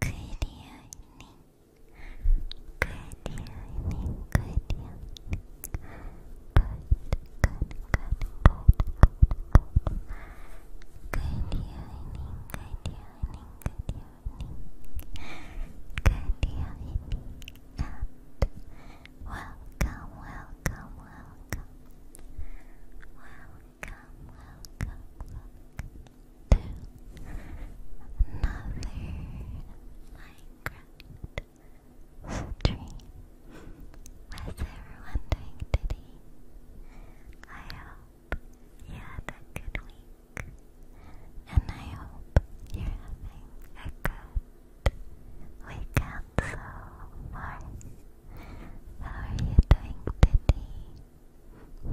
Good evening. Good evening. Good evening. Good, good, good, good, good, good. Good And welcome, welcome. Welcome welcome, welcome to another Minecraft stream. How's everyone doing today? I hope you had good week, and I hope you're having a good weekend so far. How are you doing today?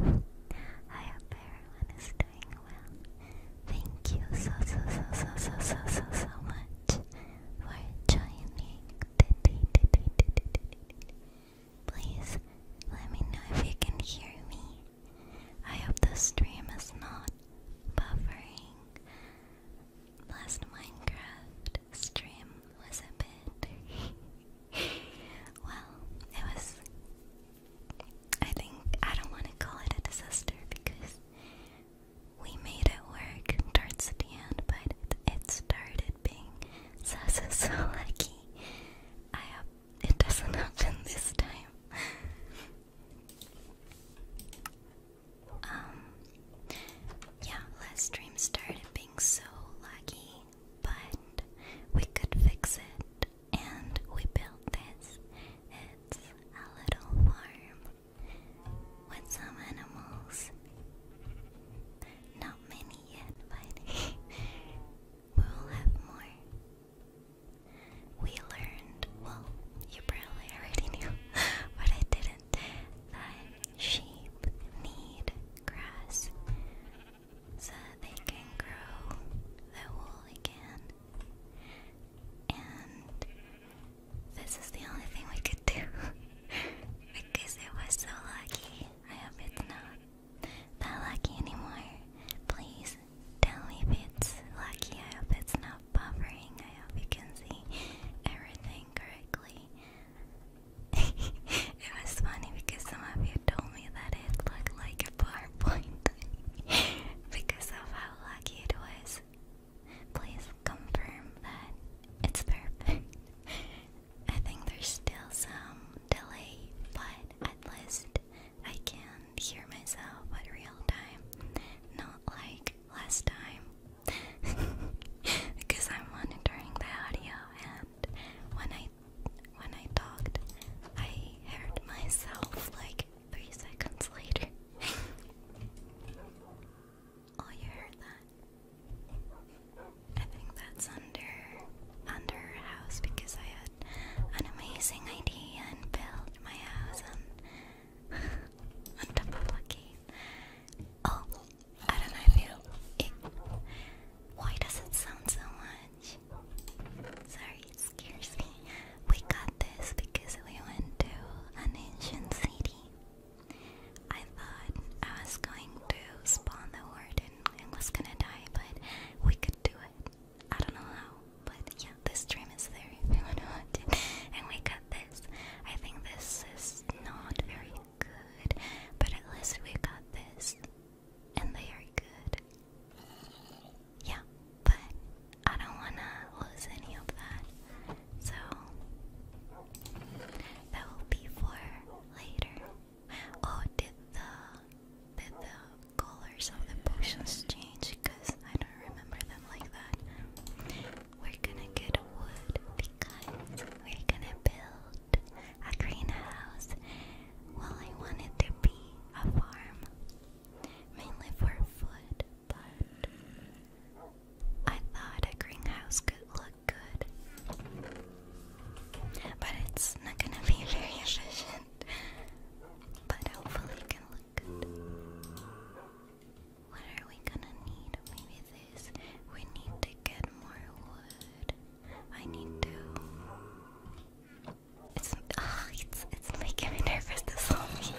I hope everyone is doing well. Thank you so so so so so so so so much for joining Please let me know if you can hear me. I hope the stream is not buffering. Last Minecraft stream was a Well, it was. I think I don't want to call it a disaster because we made it work towards the end, but it started being so so lucky. I hope it doesn't happen this time. um, yeah, last dream started being so lucky, but we could fix it and we built this. It's a little warm with some animals. Not many yet, but we will have more. We learned, well, you probably already knew, but I didn't, that sheep need grass so they can grow their wool again. And this is the only thing we could do because it was so lucky. I hope it's not that lucky anymore. Please tell me if it's lucky. I hope it's not buffering. I hope you can see everything correctly. It was funny because some of you told me that it looked like a PowerPoint because of how lucky it was. Please confirm that it's perfect. I think there's still some delay, but at least I can hear myself at real time, not like last time. because I'm monitoring the audio when I when I talked, I heard myself like three seconds later. oh, you heard that? I think that's under under house because I had an amazing idea and built my house on on top of a cave. Oh, I don't know why does it sound so much? Sorry, scares me. We got this because we went to an ancient city. I thought I was going to spawn the warden and was gonna die, but we could do it. I don't know how, but yeah, this stream is there if you And we got this. I think this is not very good, but at least we got this and they are good. Yeah, but I don't want to lose any of that, so that will be for later. Oh, did the did the colors of the potions change? Because I don't remember them like that. We're gonna get wood because we're gonna build a greenhouse. Well, I wanted to be a farm, mainly for food, but I thought a greenhouse could look good. But it's not gonna be very efficient, but hopefully it can look good. What are we gonna need? Maybe this. We need to get more wood. I need to. It's ah, it's it's making me nervous. to see.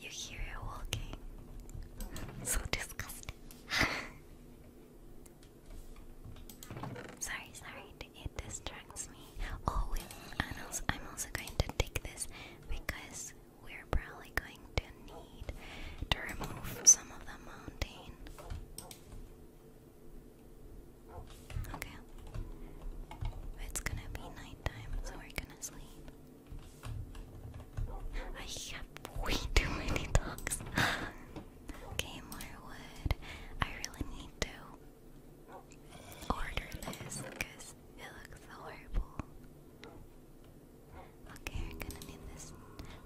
you hear it walking. So disgusting. sorry, sorry. It distracts me. Oh, and I'm also going to take this because we're probably going to need to remove some of the mountain. Okay. It's gonna be nighttime, so we're gonna sleep. I have way too many dogs. okay, I really need to order this because it looks horrible. Okay, I'm gonna need this.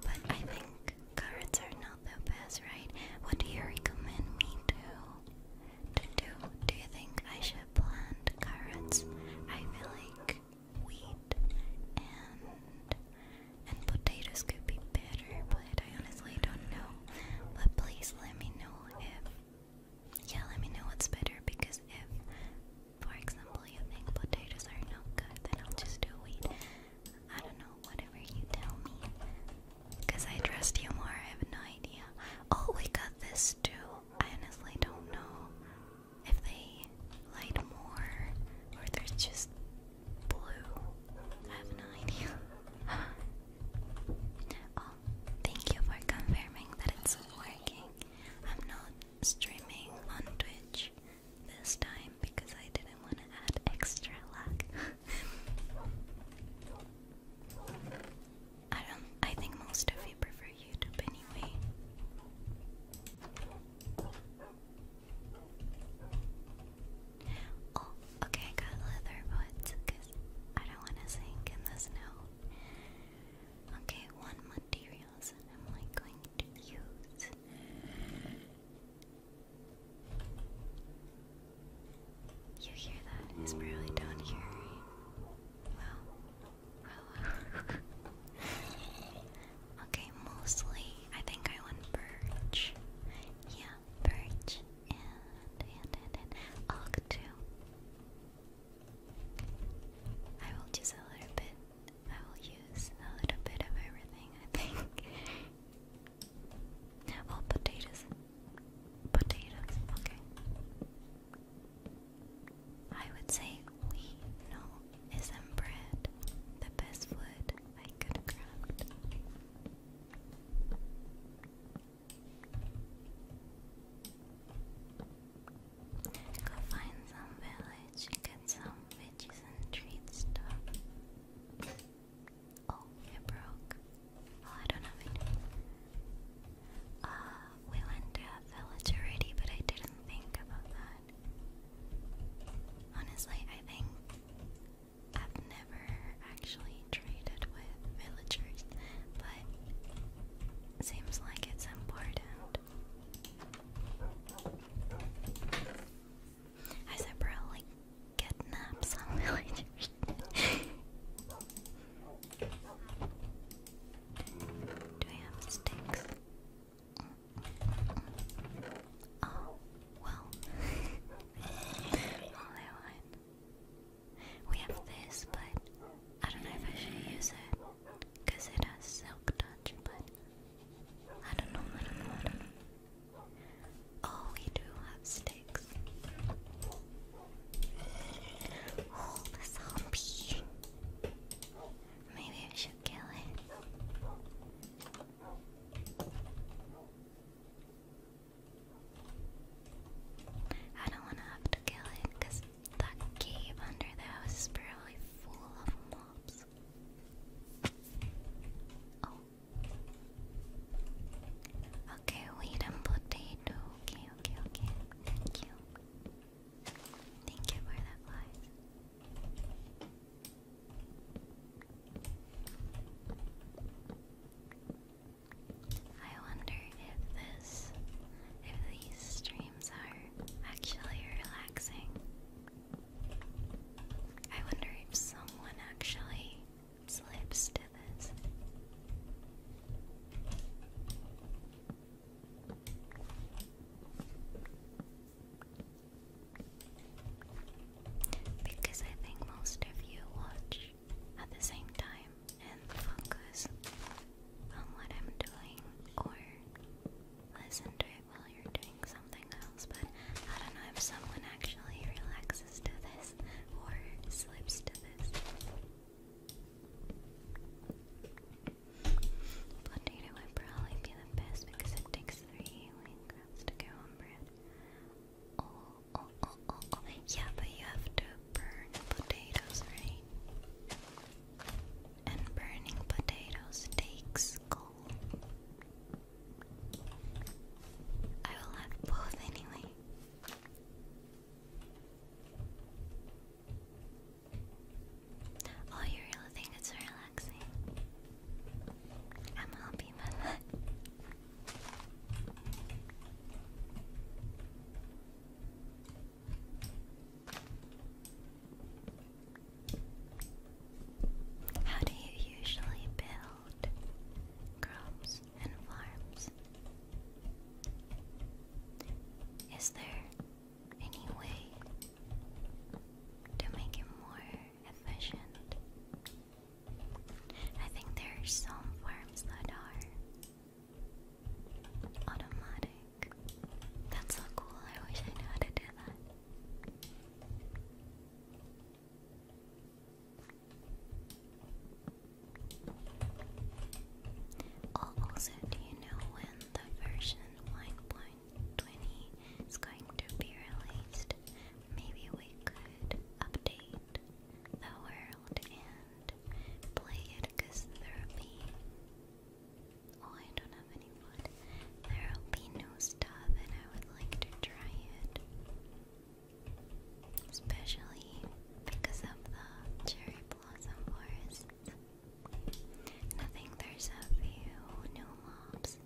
But I think carrots are not that bad, right? What do you recommend me to to do? Do you think I should plant carrots? I feel like wheat and and potatoes could be better, but I honestly don't know. But please let me know if yeah, let me know what's better because if for example you think potatoes are not good, then I'll just do wheat. I don't know, whatever you tell me. Because I trust you more, I have no idea. Oh, we got this too. I honestly don't know if they light more or they're just blue. I have no idea. oh, thank you for confirming that it's working. I'm not streaming on Twitch this time because I didn't want to add extra luck. I don't I think most of you prefer YouTube anyway. Oh, okay, I got leather boots because I don't want to sink in the snow. Okay, one materials and I'm like going to use you hear that? It's barely down here. Well, well. okay, mostly I think I want birch. Yeah, birch and and and and oak too. I will just a little bit I will use a little bit of everything, I think. oh, potatoes. Potatoes, okay. I would say wheat, no, isn't bread the best food I could craft? Go find some village, some veggies and treat Oh, it broke. Oh, I don't have Uh, we went to a village already, but I didn't think about that. Honestly, I think I've never actually traded with villagers, but seems like it's important. I said probably kidnap some Do I have sticks? Oh, well. We have this, but I don't know if I should use it. Because it has silk touch, but I don't know, I oh, we do have sticks. Oh, the zombie. Maybe I should kill it. I don't want to have to kill it because that cave under the house is probably full of mobs this. Oh. Okay, wheat potato. Okay, okay, okay. Thank you. Thank you for that I wonder if this if these streams are actually relaxing. I wonder if someone actually slips to this. Because I think most of you watch at the same time and focus on what I'm doing or listen while you're doing something else, but I don't know if someone actually relaxes to this or slips to this. Potato would probably be the best because it takes three wing to go on bread. Oh, oh, oh, oh, oh. Yeah, but you have to burn potatoes, right? And burning potatoes takes coal. I will have both anyway. Oh, you really think it's relaxing? I'm happy with that. How do you usually build crops and farms? Is there any way to make it more efficient? I think there are some farms that are automatic. That's so cool. I wish I knew how to do that. Oh, also, do you know when the version 1.20 is going to be released? Maybe we could update the world and play it because there Oh, I don't There'll be no stuff, and I would like to try it. Especially because of the cherry blossom forest. I think there's a few new mobs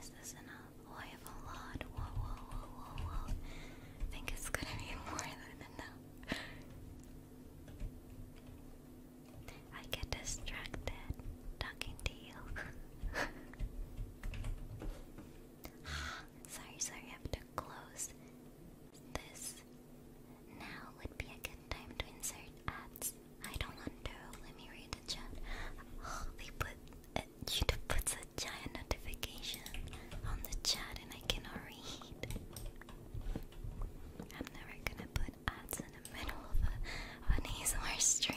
is this enough? I have a lot. Whoa, whoa, whoa, whoa, whoa. I think it's gonna be more than enough. I get distracted talking to you. sorry, sorry, I have to close this. Now would be a good time to insert ads. I don't want Let me read the chat. Oh, they put YouTube puts a giant notification on the chat, and I cannot read. I'm never gonna put ads in the middle of, a, an ASMR stream.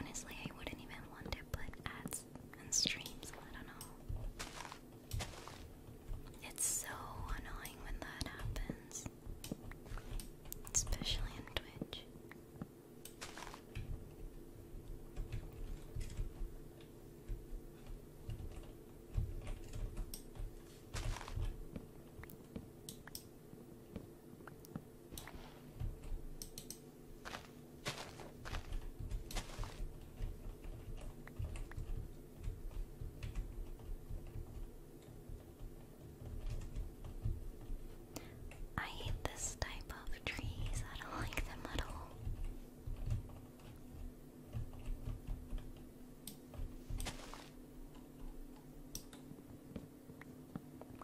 Honestly, I wouldn't even want to put ads and streams. I don't know. It's so annoying when that happens, especially on Twitch. I hate this type of trees. I don't like them at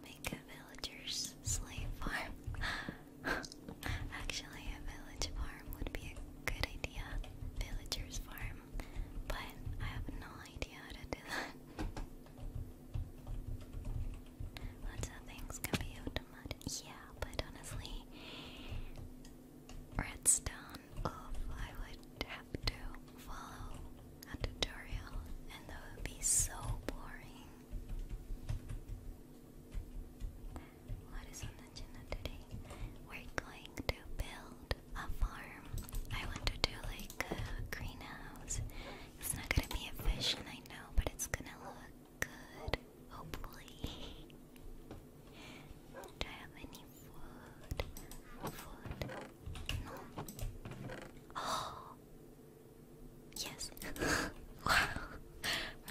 Make a villager's slave farm. Actually, a village farm would be a good idea. Villagers farm. But I have no idea how to do that. Lots of things can be automatic. Yeah, but honestly, redstone. Oof, I would have to follow a tutorial, and that would be so boring. What is on the agenda today? We're going to build a farm. I want to do like a greenhouse. It's not gonna be efficient, I know, but it's gonna look good. Hopefully. Do I have any food? Food? No. Oh, Yes. wow.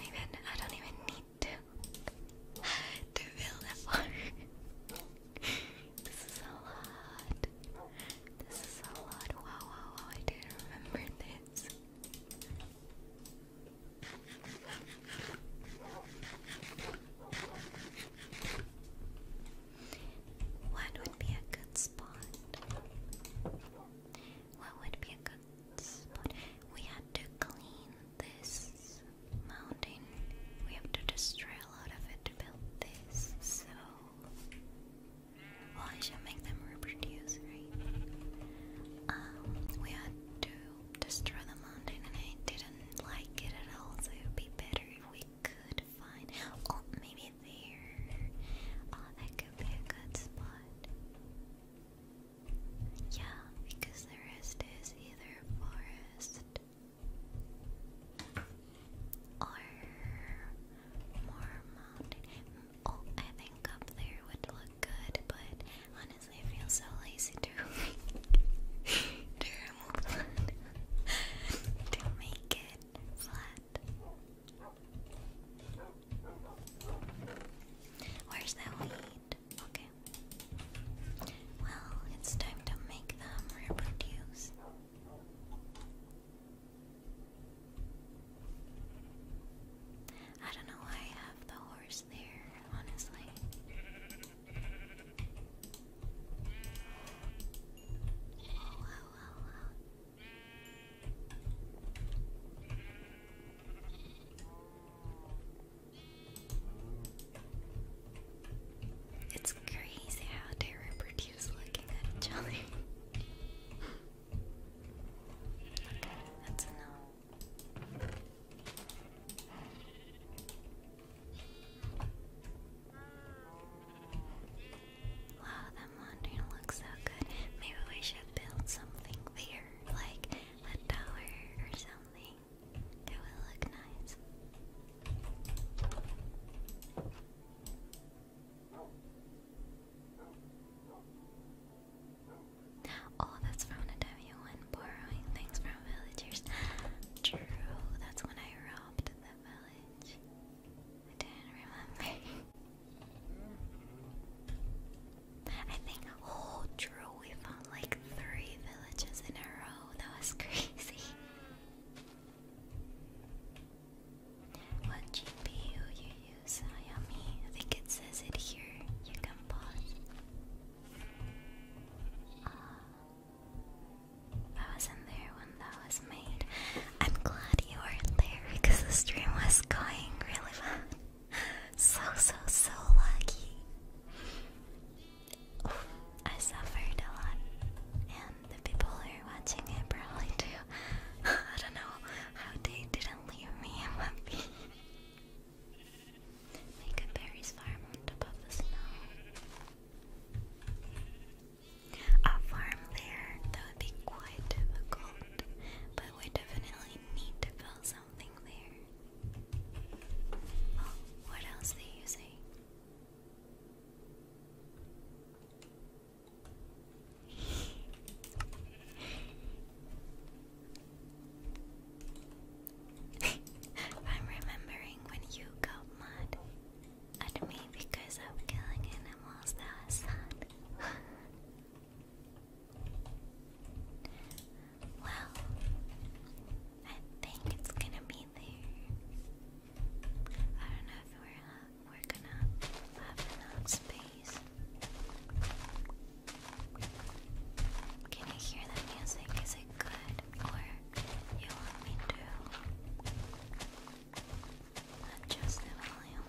even I don't even need to to build that far. this is a lot. This is a lot. Wow, wow, wow! I didn't remember this. What would be a good spot? What would be a good spot? We had to clean this mountain. We have to destroy a lot of it to build this, so. Well, I should make them reproduce, right? Um, we had to destroy the mountain, and I didn't like it at all. So it would be better if we could find. Oh, maybe there. Oh, that could be a good spot. Yeah, because the rest is either forest or more mountain. Oh, I think up there would look good, but honestly, I feel so lazy to, to make it flat. Where's that weed? Okay. Well, it's time to make them reproduce. I don't know why I have the horse there, honestly. Oh, it's crazy how they reproduce looking at each other. that's enough. Wow, that laundry looks so good. Maybe we should build something there like a tower or something. It will look nice. Oh, that's from the W one borrowing things from villagers. True, that's when I robbed the village. I didn't remember. I think oh true we found like three villages in a row. That was crazy. What GPU you use, Ayami? I think it says it here. You can pause. Uh, I wasn't there when that was made. I'm glad you weren't there because the stream was going really well. So, so, so lucky. Oh, I suffered a lot, and the people who are watching it probably do. I don't know how they didn't leave me in Make a berries farm on top of the snow. A farm there, that would be quite difficult, but we definitely need to build something there. what else they using? I'm remembering when you got mad at me because I'm killing animals that are sad. Well, I think it's gonna be there. I don't know if we're uh, gonna have enough space. Can you hear the music? Is it good, or you want me to adjust the volume?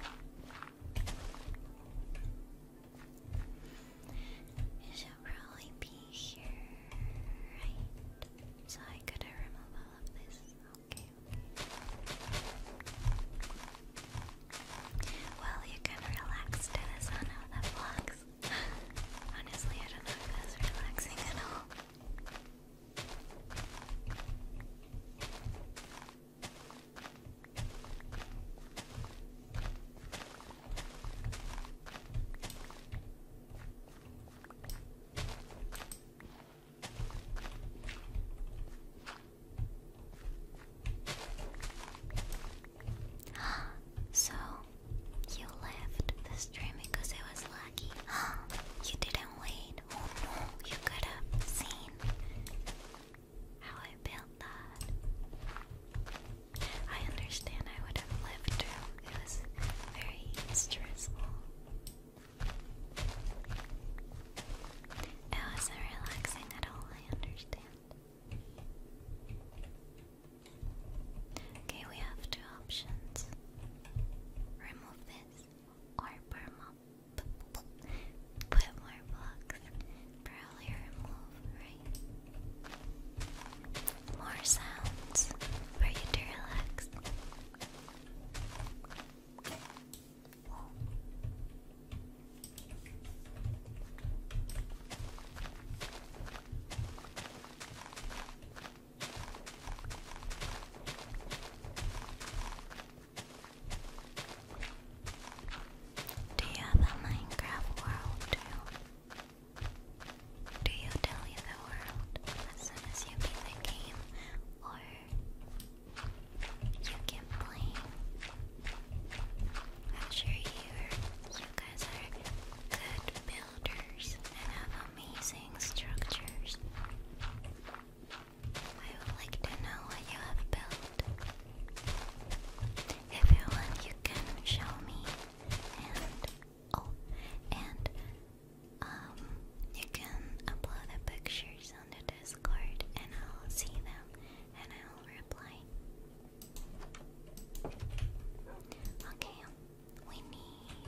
It should probably be here, right? So I gotta remove all of this. Okay. Well, you can relax to the the vlogs. Honestly, I don't know if that's relaxing at all. so you left the stream because it was lucky. you didn't wait. Oh, you could have seen how I built that. I understand I would have lived through. It was very stressful. It wasn't relaxing at all, I understand. Okay, we have two options. Remove this or perma put more blocks earlier move, right? More sounds for you to relax. Do you have a Minecraft world too? Do you delete the world as soon as you beat the game or you can play? I'm sure you guys are good builders and have amazing structures. I would like to know what you have built. If you can show me, and oh, and um, you can upload the pictures on the Discord, and I'll see them, and I'll reply. Okay, we need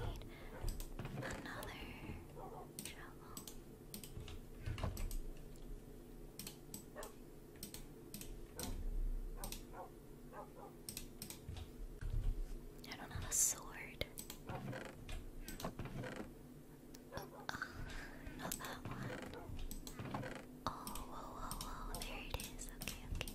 another shovel. I don't have a sword. Oh, not that one. Oh, whoa, whoa, whoa, there it is. Okay, okay.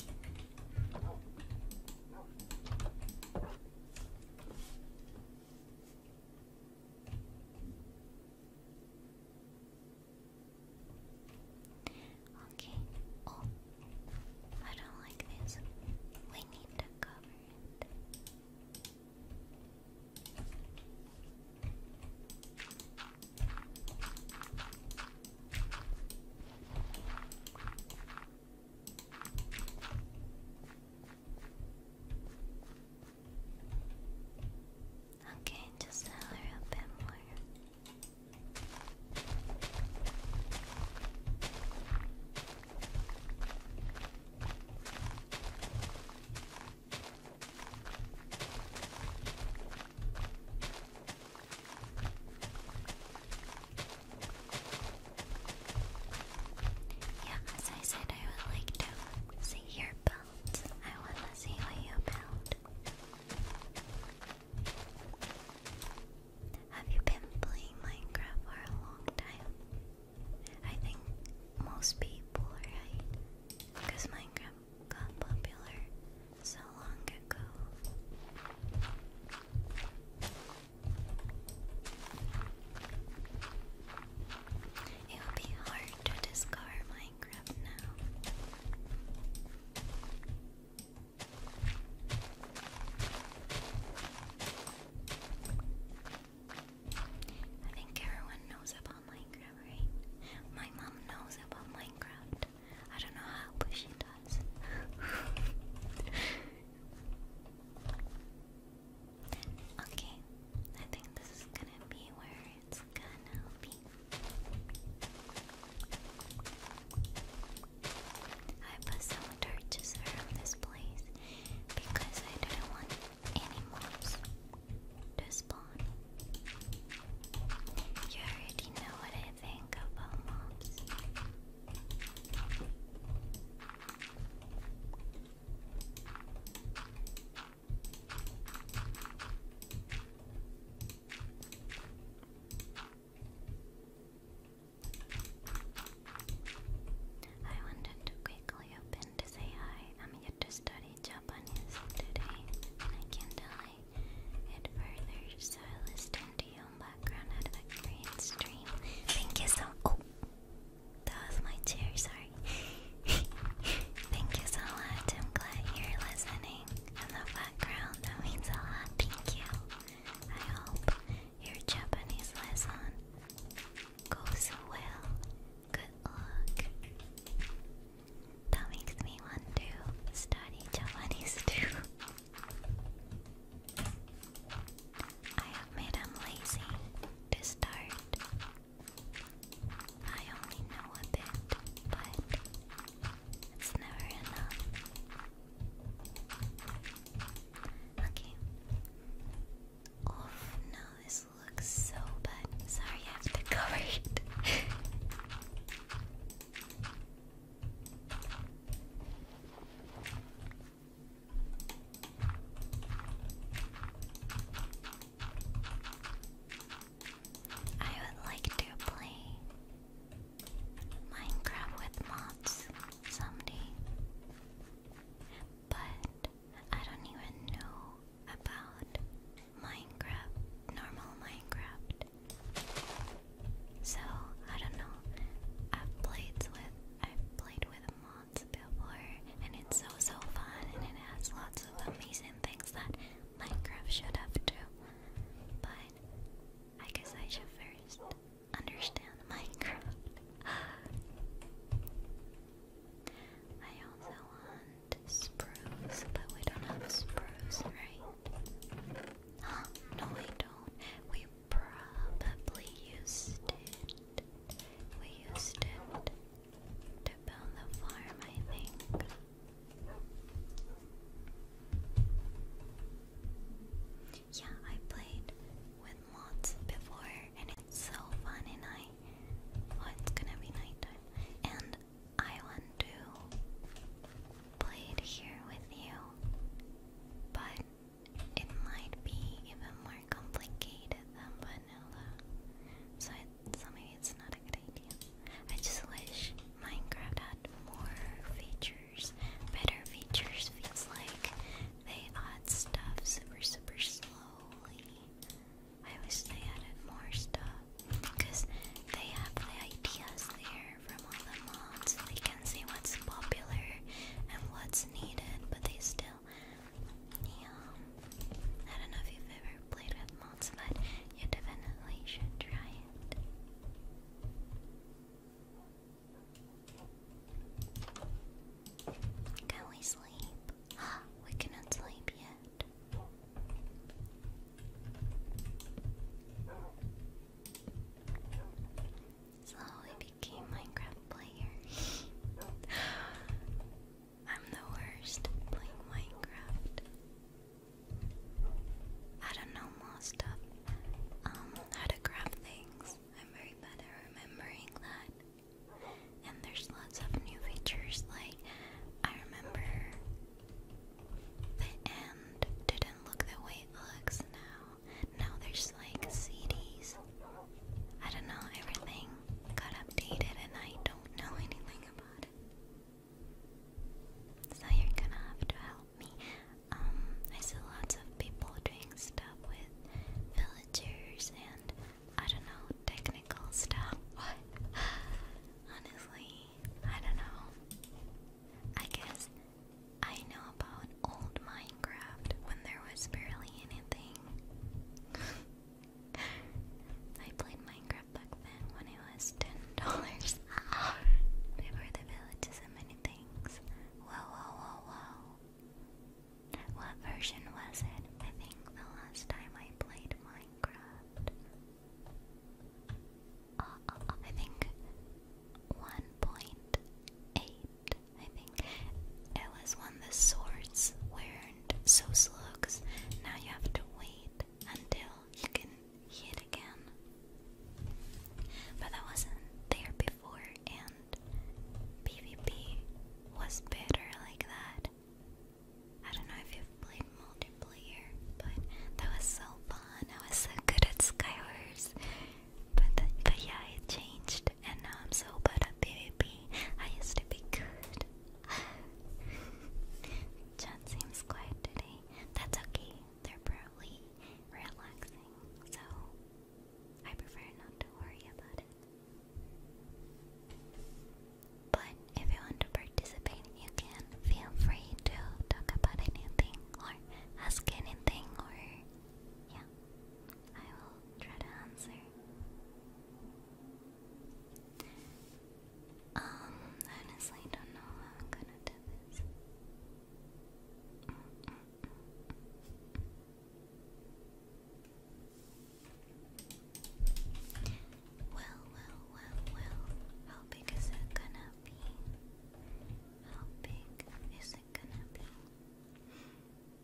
Okay. Oh, I don't like this. We need to cover it. Okay, just a bit more. Yeah, as I said, I would like to see your belt. I want to see what you build. Have you been playing Minecraft for a long time? I think most people, right? Because Minecraft got popular so long ago. It would be hard to discover my I think everyone knows about Minecraft, right? My mom knows about Minecraft. I don't know how, but she does. okay, I think this is gonna be where it's gonna be happy. I put some dirt around this place because I don't want any mobs to spawn. You already know what I think about mobs. I wanted to quickly open to say hi. I'm here to study Japanese today, and I can delay it further, so I listen to you in background at the green stream. Thank you so. Oh, that was my chair. Sorry. Thank you so much. I'm glad you're listening in the background. That means a lot. Thank you. I hope your Japanese lesson goes well. Good luck. That makes me want to study Japanese too. I have made them lazy to start. I only know a bit, but it's never enough. Okay. Oh no, this looks so bad. Sorry, I have to cover it. I would like to play Minecraft with mods someday. But I don't even know about Minecraft, normal Minecraft. So I don't know. I've played with I've played with mods before and it's so so fun and it has lots of amazing things that Minecraft should have too. But I guess I should first understand Minecraft. I also want spruce, but we don't have spruce, right? Huh? No, we don't. We probably used it. We used it to build the farm, I think. Yeah, I played with mods before and it's so fun and I oh, it's gonna be nighttime and I want to play it here with you but it might be even more complicated than vanilla so so maybe it's not a good idea. I just wish Minecraft had more features, better features. Feels like they add stuff super, super slowly. I wish they added more stuff because they have the ideas there from all the mods. They can see what's popular and what's needed, but they still. Yeah. I don't know if you've ever played with mods, but you definitely should try it. Can we sleep? we cannot sleep yet. Slowly became Minecraft player. I'm the worst playing Minecraft. I don't know most of um how to grab things. I'm very bad at remembering that. And there's lots of new features like I remember the end didn't look the way it looks now. Now there's like CDs. I don't know, everything got updated and I don't know anything about it. So you're gonna have to help me. Um, I see lots of people doing stuff with villagers and I don't know, technical stuff. What? Honestly, I don't know. I guess I know about old Minecraft when there was barely anything. I played Minecraft back then when it was $10. they were the villages and many things. Whoa, whoa, whoa, whoa. What version was it? I think the last time I played Minecraft. Uh, I think 1.8. I think it was when the swords weren't so slugs. Now you have to wait until you can hit again. But I wasn't there before, and PvP was better like that. I don't know if you've played multiplayer, but that was so fun. I was so good at Skywars. But, but yeah, it changed, and now I'm so bad at PvP. I used to be good John seems quiet today. That's okay. They're probably relaxing, so I prefer not to worry about it. But if you want to participate, you can feel free to talk about anything or ask anything, or yeah, I will try to answer. Um, honestly, don't know how I'm gonna do this. Well, well, well, well. How big is it gonna be? How big is it gonna be?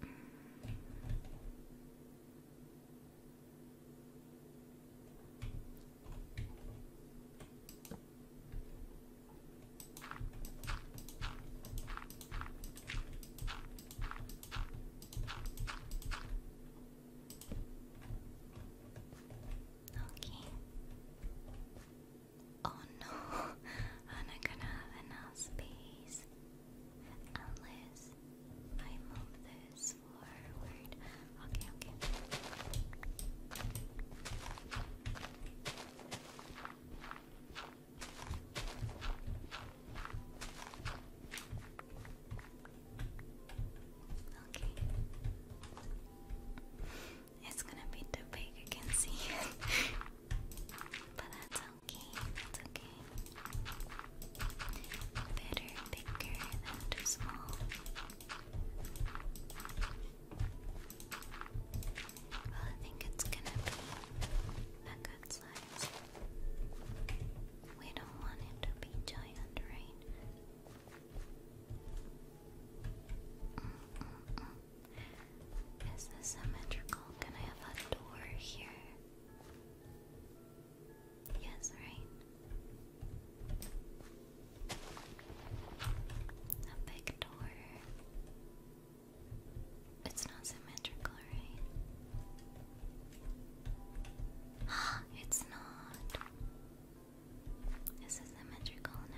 Mm. Okay. Oh no, I'm not gonna have enough space unless I move this forward. Okay, okay. Okay. It's gonna be too big, I can see it. but that's okay, that's okay. Better bigger than small. Well, I think it's gonna be a good size. We don't want it to be giant, right? Is this symmetrical? Can I have a door here? Yes, right. A big door. It's not symmetrical, right? Ah, it's not. This is symmetrical now.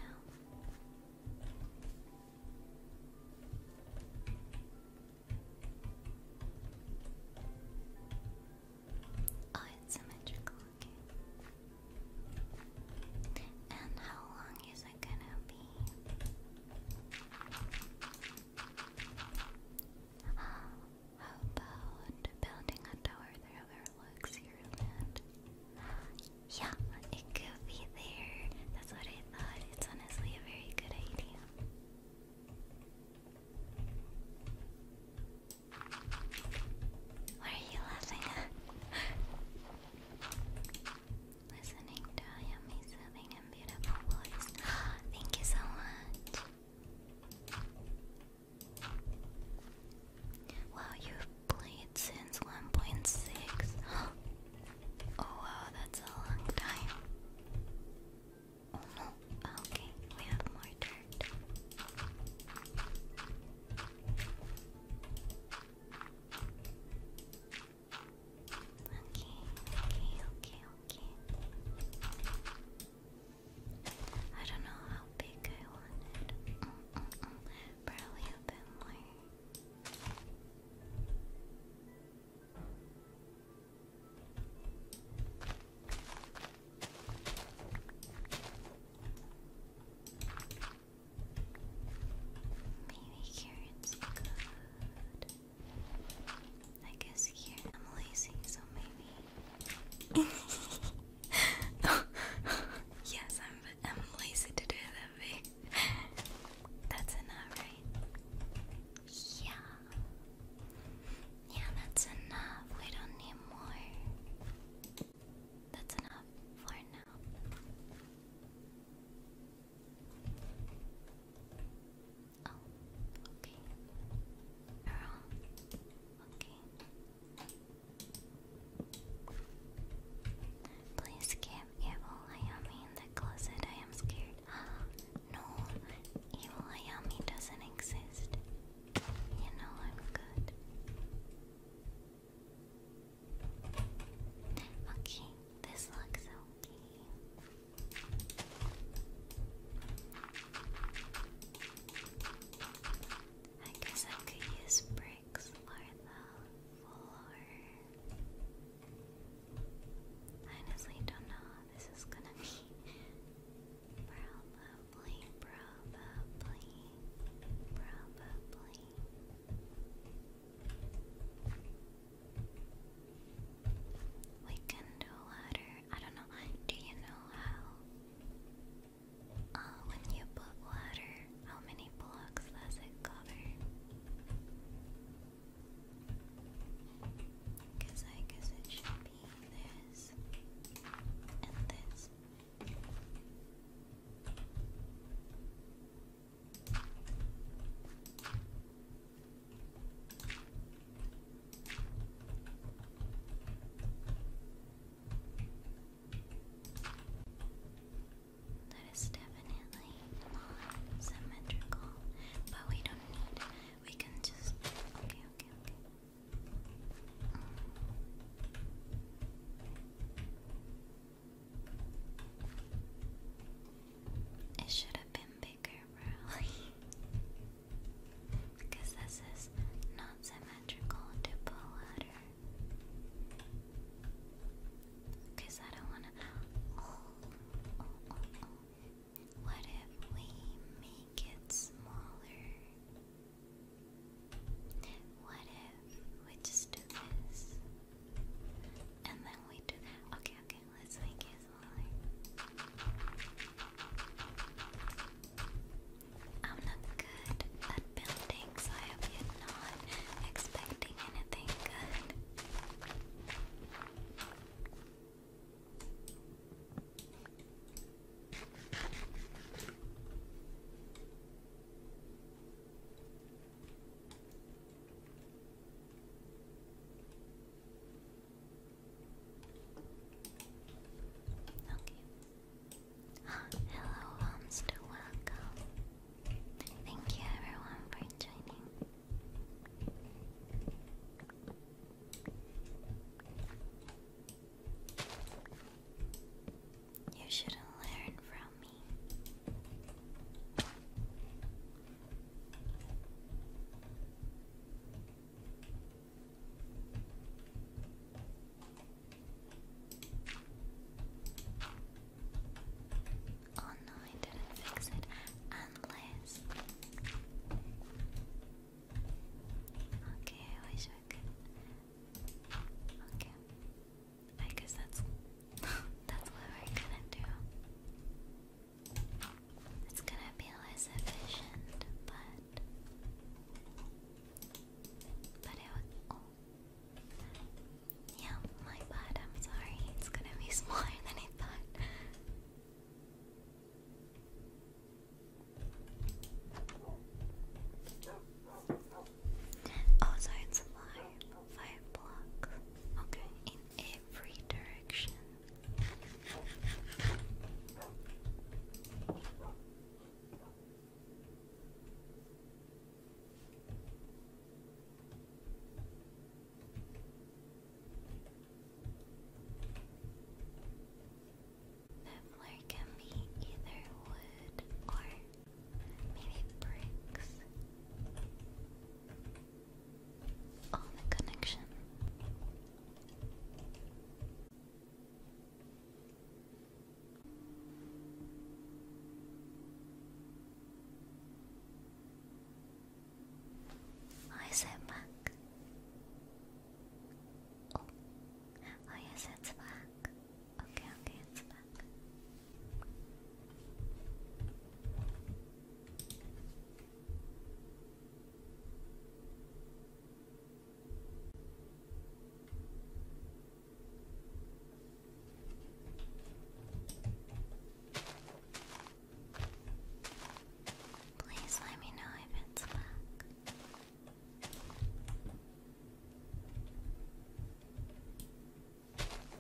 Oh, it's symmetrical, okay. And how long is it gonna be? How about building a tower that overlooks your land? Yeah, it could be there. That's what I thought. It's honestly a very good idea. What are you laughing Listening to Ayami's soothing and beautiful voice. Thank you so much. Wow, you've played since 1.6. oh wow, that's a long time. Oh, okay, we have more dirt. Okay, okay, okay, okay. I don't know how big I want it. Mm, mm, mm. a bit more. Baby carrots good. I guess here I'm lazy, so maybe. yes, I'm. I'm lazy to do that. That's enough, right? Yeah. Yeah, that's enough. We don't need more. That's enough for now. Oh, okay. Girl. Okay. Please give Evil Ayami in the closet. I am scared. no, Evil Ayami doesn't exist. You know I'm good. Okay, this looks okay. I guess I could use bricks for the floor. I honestly don't know how this is gonna be. Probably, probably, probably. We can do water. I don't know. Do you know how? Uh, when you put water, how many blocks does it cover? Because I guess it should be this and this. That is definitely not symmetrical, but we don't need. We can just. It should have been bigger, probably. because this is not symmetrical to Because I don't want to. Oh, oh, oh, what if we make it smaller? What if we just do this? And then we do Okay, okay, let's make it I'm not good at building, so I hope you're not expecting anything good. Okay. Hello, Homster, welcome. Thank you everyone for joining. You shouldn't learn from me. Oh no, I didn't fix it unless. Okay, I wish Okay. I guess that's that's what we're gonna do. It's gonna be less efficient, but but it would. Oh. Yeah, my bad. I'm sorry. It's gonna be smaller than I thought. Oh, so five blocks. Okay, in every direction. Nibbler can be either wood or maybe bricks. Oh, the connection. I said back. Oh. Oh yes, it's back. Okay, okay, it's back. Please let me know if it's back.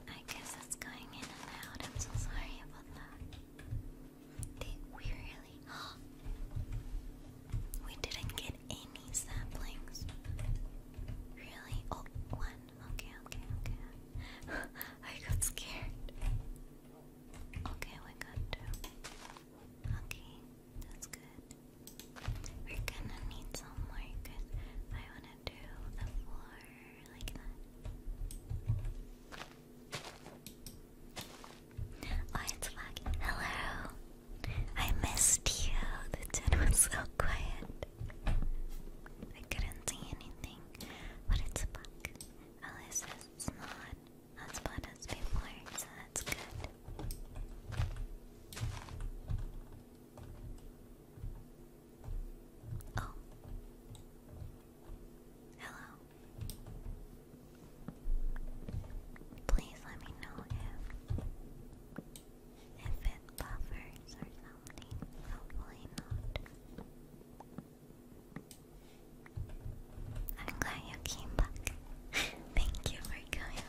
I guess it's going in and out. I'm so sorry about that. we didn't get any saplings. Really? Oh, one. Okay, okay, okay. I got scared. Okay, we got two. Okay, that's good. We're gonna need some more because I wanna do the floor like that. Oh, it's back. Hello! I missed you. The tin was so quiet. I couldn't see anything, but it's back. Alice is not as bad as before, so that's good. Oh. Hello. Please let me know if if it buffers or something. Hopefully not. I'm glad you came back. Thank you for coming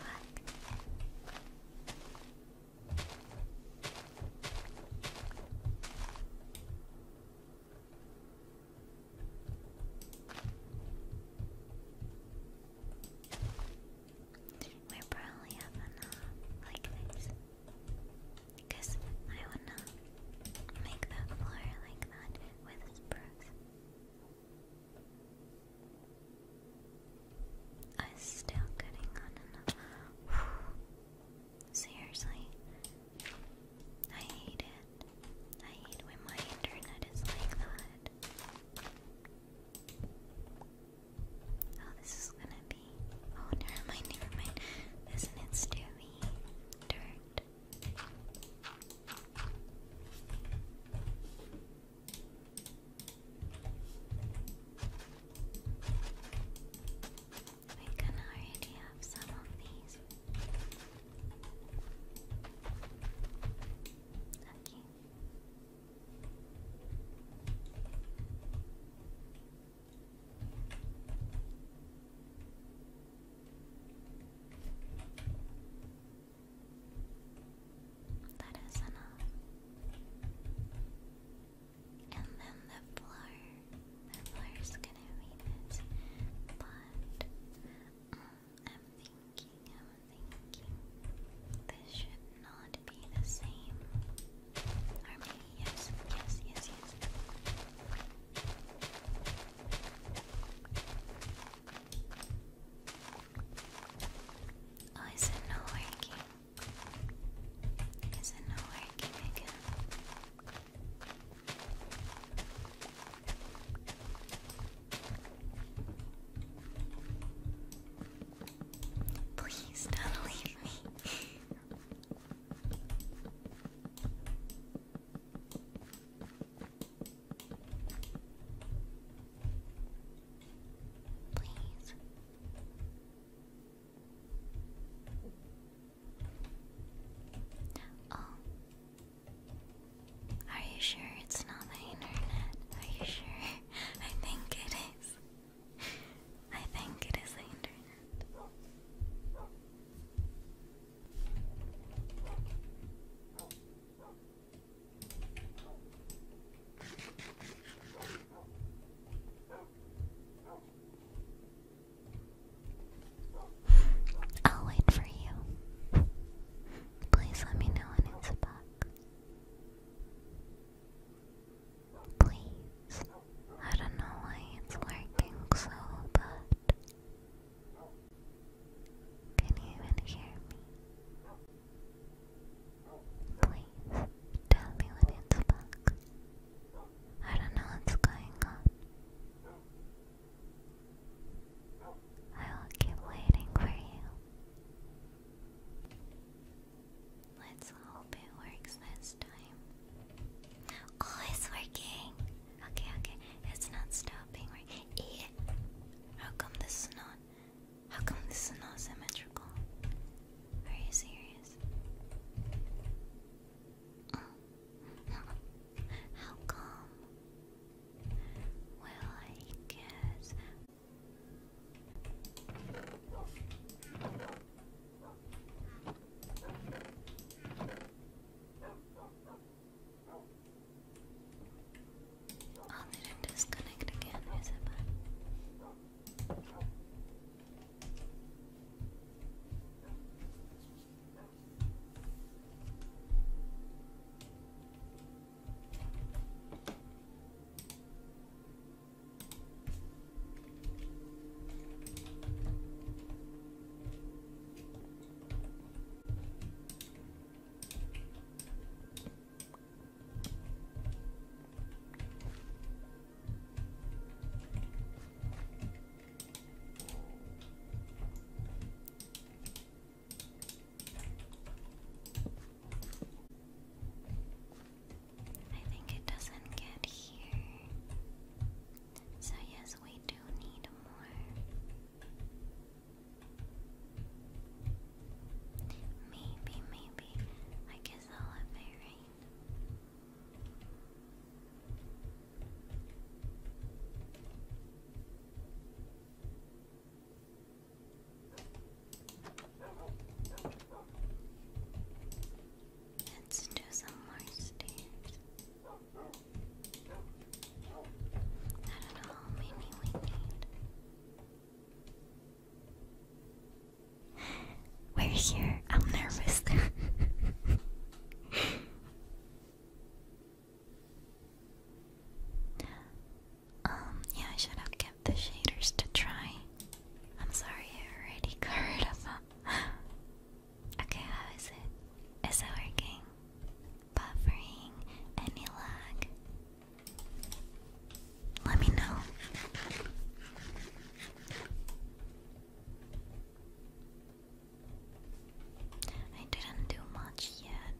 we probably have enough like this. Because I would not make that floor like that with spruce. I am still getting on enough. Seriously, I hate it. I hate when my internet is like that. Oh, this is gonna be. Oh, never mind, never mind. Isn't it Dirt. We can already have some of these. Okay. That is enough. And then the floor. The floor is gonna be this. But mm, I'm thinking, I'm thinking. This should not be the same. Or maybe yes, yes, yes, yes. Oh, is it not working? Is it not working again? Please don't leave me. Please. Oh. Are you sure it's not the internet? Are you sure? I think it is. I think it is the internet. I'll wait for you. Please let me know when it's back. Please. I don't know why it's working so bad. Can you even hear me? Please tell me when it's back. I don't know what's going on. I will keep waiting for you. Let's hope it works this time. Oh, it's working! Okay, okay, it's not stopping. Working. How come this is not? How come this is not symmetrical? Are you serious? How come? Well, I guess. I need to disconnect again, is it bad? I think it doesn't get here. So, yes, we do need more. Maybe, maybe. I guess I'll have my rain. Let's do some more stairs. I don't know how many we need. We're here. I'm nervous. um, yeah, I should have kept the shaders to try. I'm sorry, already got of them. okay, how is it? Is it working? Buffering? Any lag? Let me know. I didn't do much yet,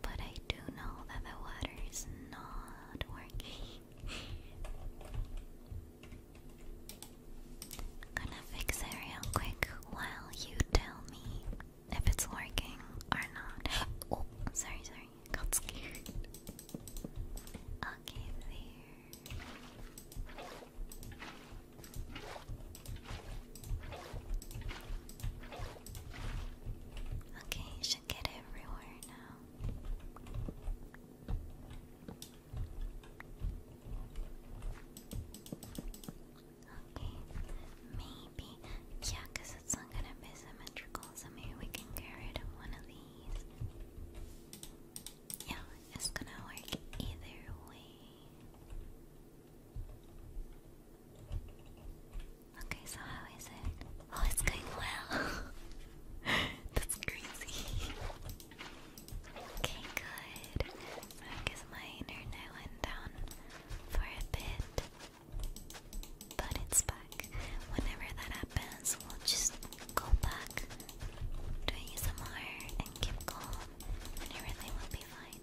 but I do know that the water is not working. gonna fix it real quick while you tell me if it's working or not. Oh, sorry, sorry got scared. Okay, there. Okay, you should get everywhere now. Okay, maybe yeah, because it's not going to be symmetrical, so maybe we can carry rid of one of these. Yeah, it's going to work either way. Okay, so how is it? Oh, it's going well. That's crazy. okay, good. I guess my internet went down for a bit. But it's back. Whenever that happens, we'll just go back to ASMR and keep calm, and everything will be fine.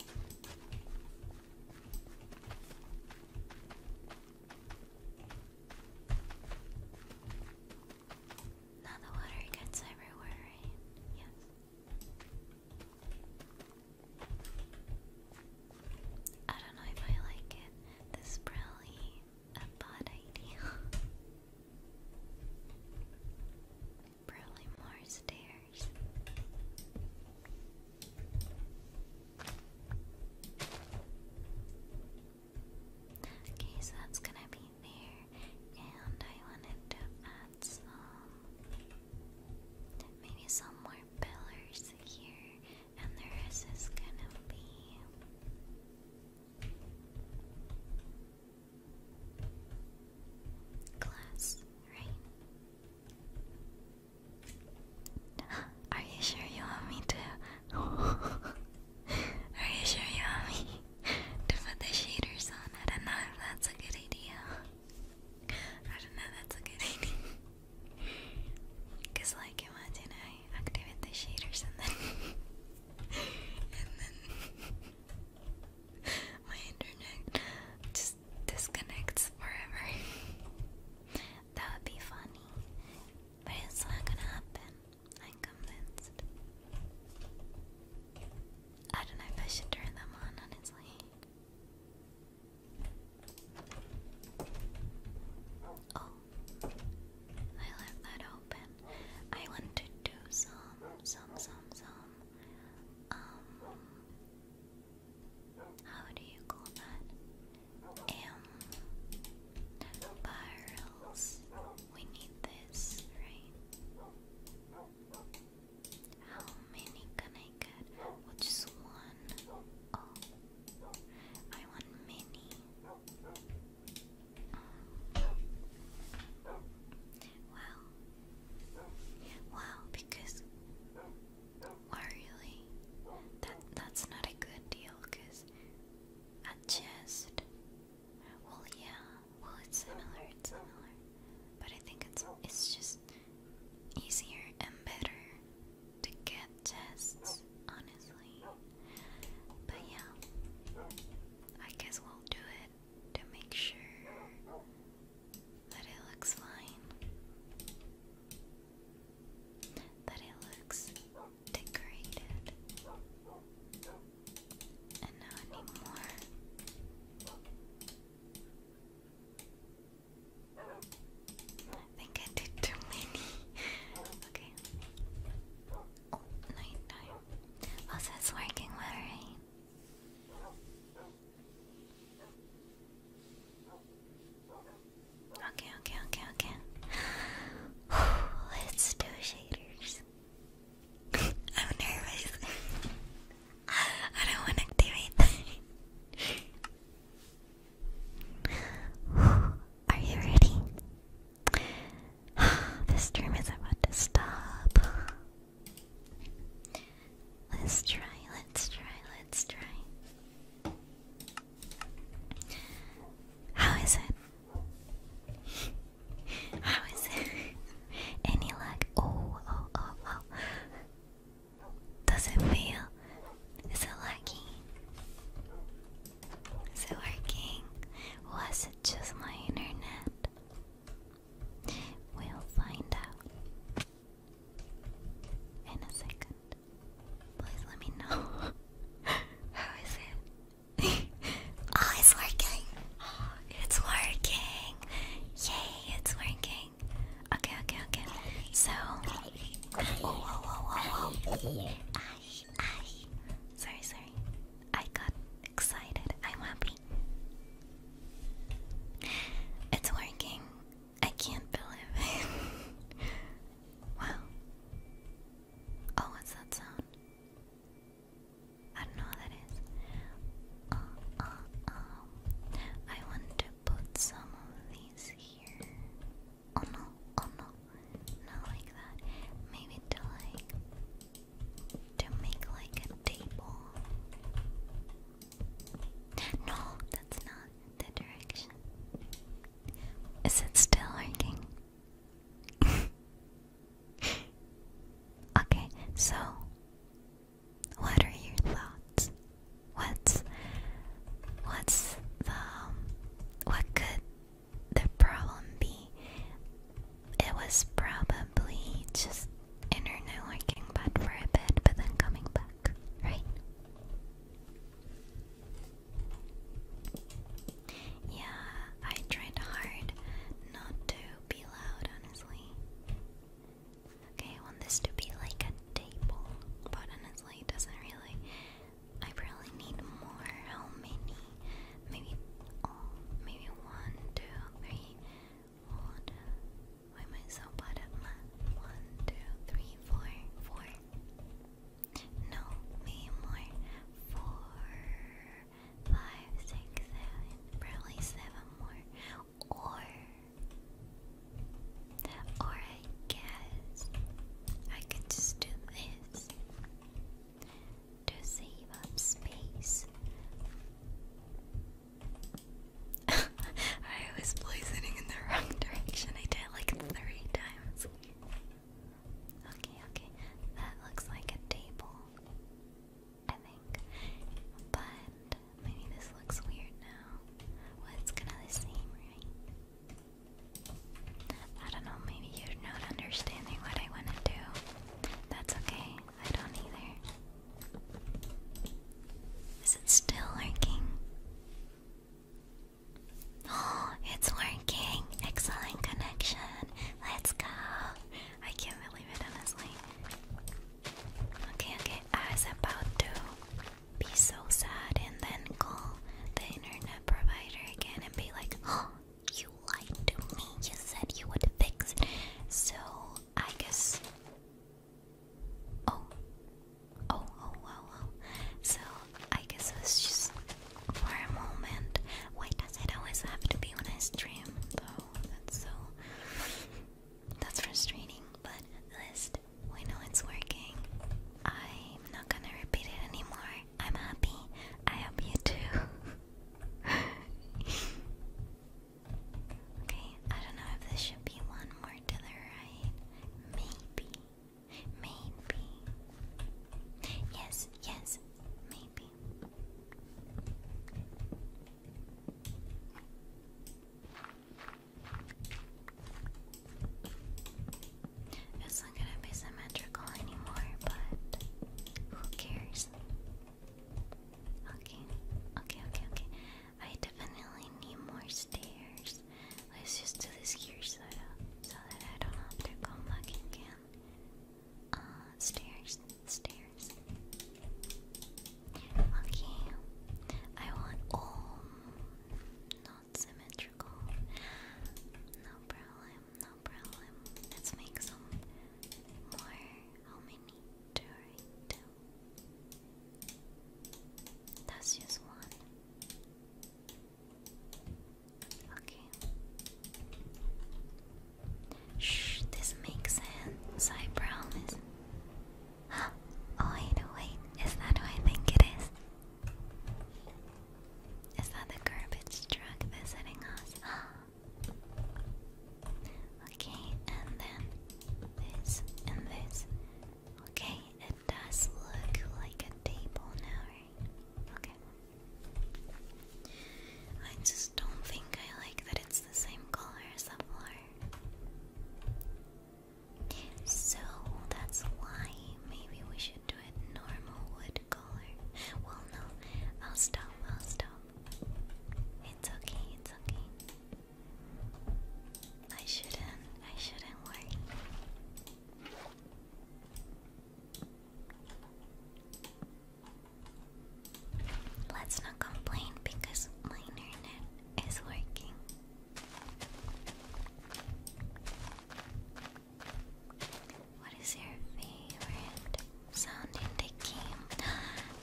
Now the water gets everywhere, Yes. I don't know if I like it. This probably a bad idea. probably more stairs. Okay, so that's gonna be there, and I wanted to add some, maybe some more pillars here and the rest is gonna be glass, right? Are you sure you want me to? Are you sure you want me to put the shaders on? I don't know if that's a good idea. I don't know, that's a good idea. Cause like imagine I activate the shaders and then and then my internet just disconnects forever. that would be funny. But it's not gonna happen. I'm convinced. I don't know if I should turn them on honestly. Oh, I left that open. I want to do some, some, some, some. Um, how do you call that? Um, barrels. We need this, right? How many can I get? Which one? Oh. I want mini. Wow. Wow, because wow that that's not a good deal because a chest well yeah, well it's similar, it's similar. But I think it's it's just easier and better to get tests, honestly. But yeah, I guess we'll do it to make sure that it looks fine, that it looks decorated. And now I I think I did too many. okay. Oh, night time. Also, it's working well, right? Okay, okay, okay, okay. Let's do shaders. I'm nervous. I don't want to activate that. Are you ready? this stream is about to stop. Let's try, let's try, let's try. How is it? How is it? Any luck? Oh, oh, oh, oh. Does it feel so lucky. So working was it just my internet? We'll find out in a second. Please let me know. How is it? oh, it's working! it's working! Yay, it's working! Okay, okay, okay. So, Sorry, sorry. I got excited. I'm happy. It's working. I can't believe it. wow. Oh, what's that sound? I don't know what that is. Uh, uh, um, I want to put some of these here no, no. Not like that. Maybe to like to make like a table. No, that's not the direction. Is it still working? okay, so what are your thoughts? What's what's the um, what could the problem be? It was probably just internet working bad for a bit, but then coming back, right? Yeah, I tried hard not to be loud, honestly. Okay, I want this to be like a table, but honestly, it doesn't really I really need more. How many? Maybe, oh, maybe one, two, three. One. Why am I so bad at math? One, two, three, four, four. No, maybe more. Four, five, six, seven. Probably seven more. Or or I guess I could just do this to save up space. I was poisoning in the wrong direction. I did it like three times. Okay, okay. That looks like a table. I think. But maybe this looks weird now. Well, it's kind of the same, right? I don't know, maybe you're not understanding what I want to do. That's okay, I don't either. Is it still working? Oh, it's working! Excellent connection! Let's go! I can't believe it, honestly. Okay, okay, I was about to be so sad and then call the internet provider again and be like, oh, you lied to me. You said you would fix it. So I guess. Oh. Oh, oh, wow, So I guess it was just for a moment. Why does it always have to be when I stream, though? That's so. That's frustrating, but let's good. We know it's working. I'm not gonna repeat it anymore. I'm happy. I hope you too. okay, I don't know if this should be one more to the right. Maybe. Maybe. Yes, yes, maybe. It's not gonna be symmetrical anymore, but who cares? Okay, okay, okay, okay. I definitely need more stairs. Let's just do this here so, that I don't have to come back again. Uh, stairs, stairs. Okay, I want all. Um, not symmetrical. No problem, no problem. Let's make some more. How many? Two, Two. That's just one. Okay. Shh, this makes sense, I promise. oh, wait, wait, is that who I think it is? Is that the garbage truck visiting us? okay, and then this and this. Okay, it does look like a table now, right? Okay. I just don't think I like that it's the same color as the so that's why maybe we should do it normal wood color. Well, no, I'll stop, I'll stop. It's okay, it's okay. I shouldn't, I shouldn't worry. Let's not complain because my internet is working. What is your favorite sound in the game?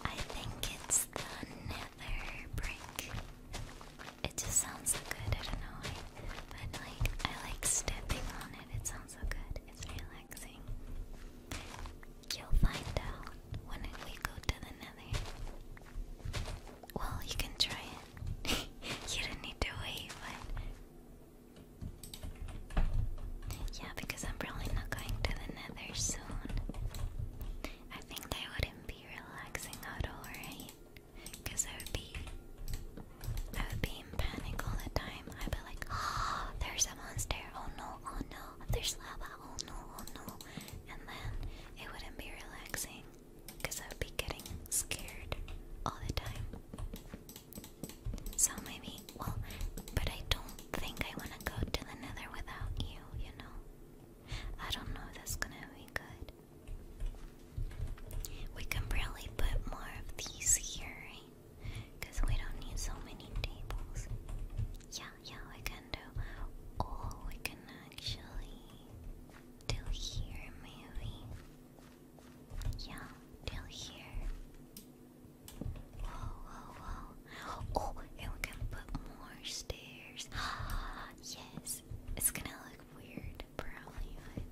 I think it's the nether brick. It just sounds so good, I don't know why. But like I like stepping on it, it sounds so good. It's relaxing. You'll find out when we go to the nether. Well, you can try it. you don't need to wait, but. Yeah, because I'm probably not going to the nether soon. I think I wouldn't be relaxing out all, right? Because I would be. I would be in panic all the time. I'd be like, oh, there's a monster. Oh no, oh no. There's lava. Oh no, oh no. And then it wouldn't be relaxing because I would be getting scared all the time. So maybe, well, but I don't think I want to go to the nether without you, you know? I don't know if that's gonna be good. We can probably put more of these here, right? Because we don't need so many tables. Yeah, yeah, we can do. Oh, we can actually do here, maybe. Yeah, till here. Whoa, whoa, whoa. Oh, and we can put more stairs. yes. It's gonna look weird, probably,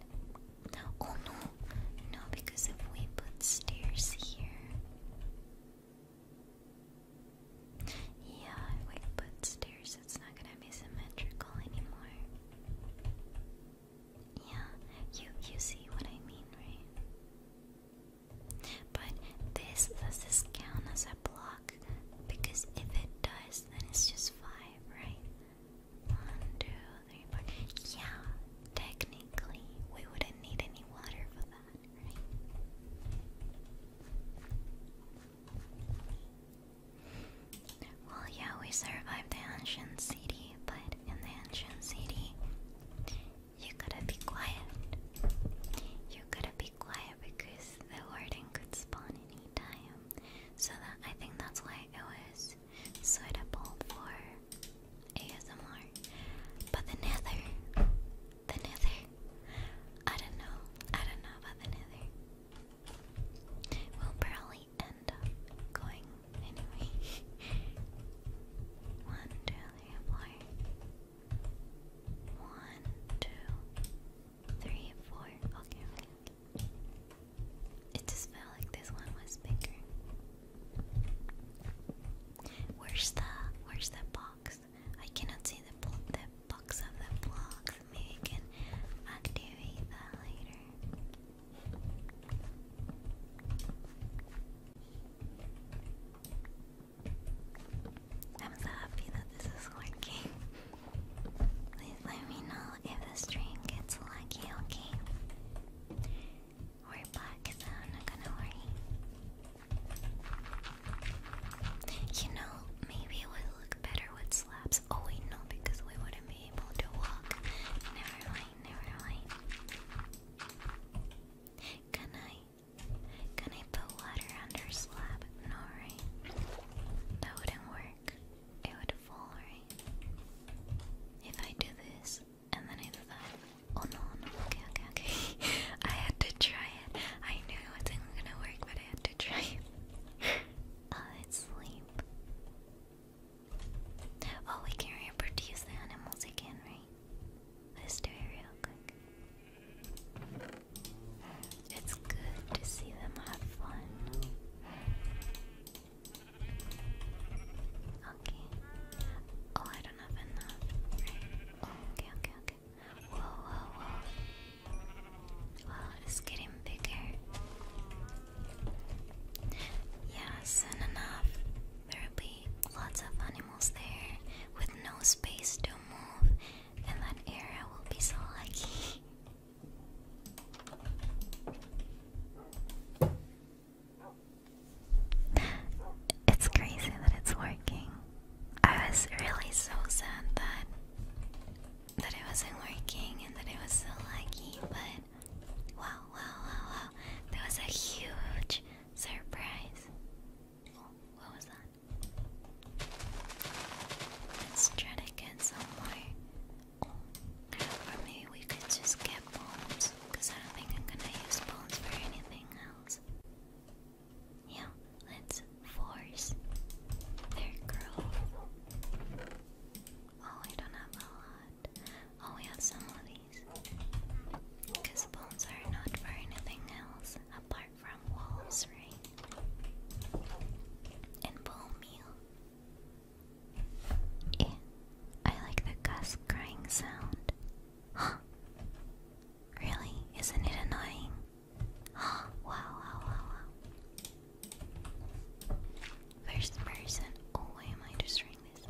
Oh no! No, because if we put stairs here... Yeah, if we put stairs, it's not gonna be symmetrical anymore. Yeah, you you see what I mean, right? But this does this count as a block? Because if it does, then it's just five, right? One, two, three, four. Yeah, technically we wouldn't need any water for that, right? Well, yeah, we survived the ancient city, but in the ancient city, you gotta be quiet. You gotta be quiet because the warden could spawn any time. So that I think that's why it was suitable for ASMR. But the nether, the nether, I don't know, I don't know about the nether. we probably end up going anyway. One, two, three, four. Okay, It just felt like this one was bigger. Where's the where's the box? I cannot see the box of the blocks. Maybe I can activate that later. I'm so happy that this is working. Please let me know if the stream gets lucky, okay? We're back, so I'm not gonna worry. You know, maybe it would look better with slabs. Oh wait, no, because we wouldn't able to walk. Never mind, never mind. Can I? Can I put water under slab? No, That wouldn't work. It would fall, If I do this and then I do that. Oh no, okay, okay, okay. I had to try it. I knew it wasn't gonna work, but I had to try it. uh, sleep. Oh, we can reproduce the animals again, right? Let's do it real quick. It's good to see them have fun. Okay. Oh, I don't have enough. okay, okay, okay. Whoa, whoa, whoa. Wow, it's getting bigger. Yeah, soon enough, there'll be lots of animals there with no space to move, and that area will be so lucky. It's crazy that it's working. I was really so sad that that it wasn't working and that it was so lucky, but Wow, wow, wow, wow. That was a huge surprise. what was that? Let's try to get some more. Or maybe we could just get bones. Because I don't think I'm gonna use bones for anything else. Yeah, let's force their growth. Oh, we don't have a lot. Oh, we have some of these. Because bones are not for anything else apart from wolves, right? And bone meal. Yeah, I like the gus sound. Huh? Really? Isn't it annoying? wow, wow, wow, wow. First person. Oh, why am I destroying this?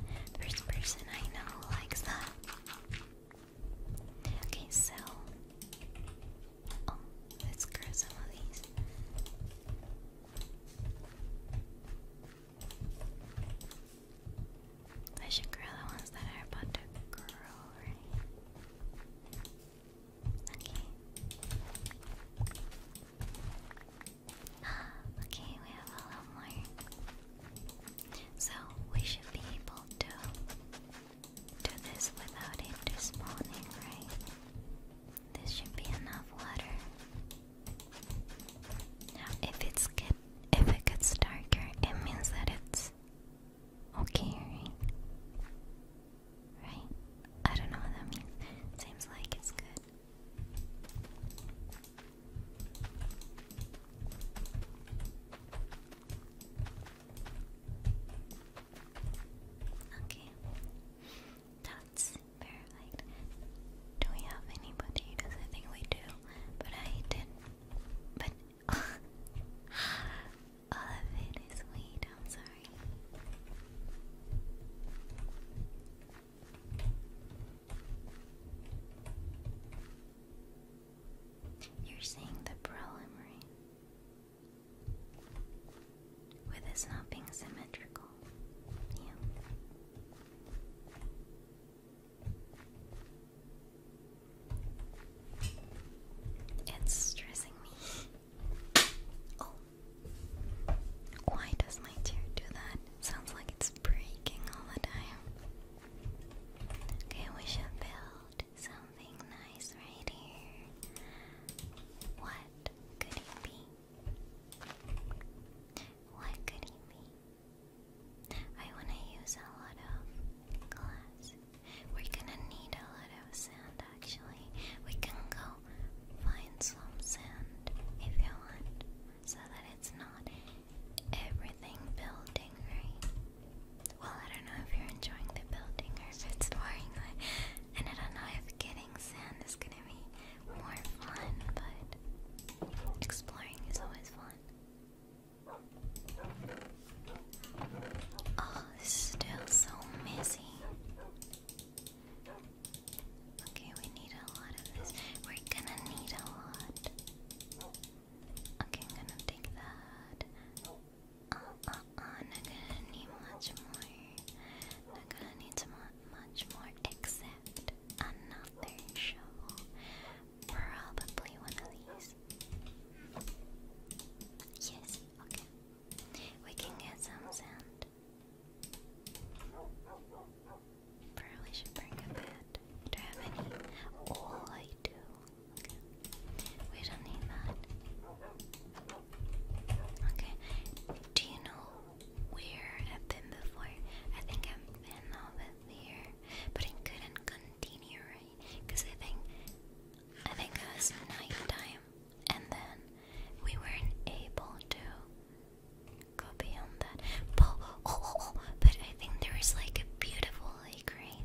First person I know likes that. Okay, so. Oh, let's grab some of these. I should grow the ones that are about to grow, right? Okay. Okay, we have a lot more. So we should be able to do this without it despawning, right? This should be enough water. Now, if it's get, if it gets darker, it means that it's okay, right? Right? I don't know what that means. Seems like it's good. Okay, that's perfect. Do we have anybody? I think we do, but I did But all of it is weed. I'm sorry. You're seeing the preliminary with this not being symmetrical. It's stressing me. Oh. Why does my chair do that? sounds like it's breaking all the time. Okay, we should build something nice right here. What could it be? What could it be? I wanna use a lot of glass. We're gonna need a lot of sand actually. We can go find some sand if you want, so that it's not everything building, Well, I don't know if you're enjoying the building or if it's boring, like, and I don't know if getting sand is gonna be more fun, but exploring is always fun. Oh, still so messy. Okay, we need a lot of this. We're gonna need a lot. Okay, gonna take that. Uh, uh, uh, not gonna need much more. Not gonna need much more except another shovel. Probably one of these. Yes, okay. We can get some sand. Probably should bring a bed. Do I have any? Oh, I do. We don't need that. Okay. Do you know where I've been before? I think I've been over there, but I couldn't continue, right? Because I think I think it was nighttime, and then we weren't able to go beyond that. But I think there is like a beautiful lake, right?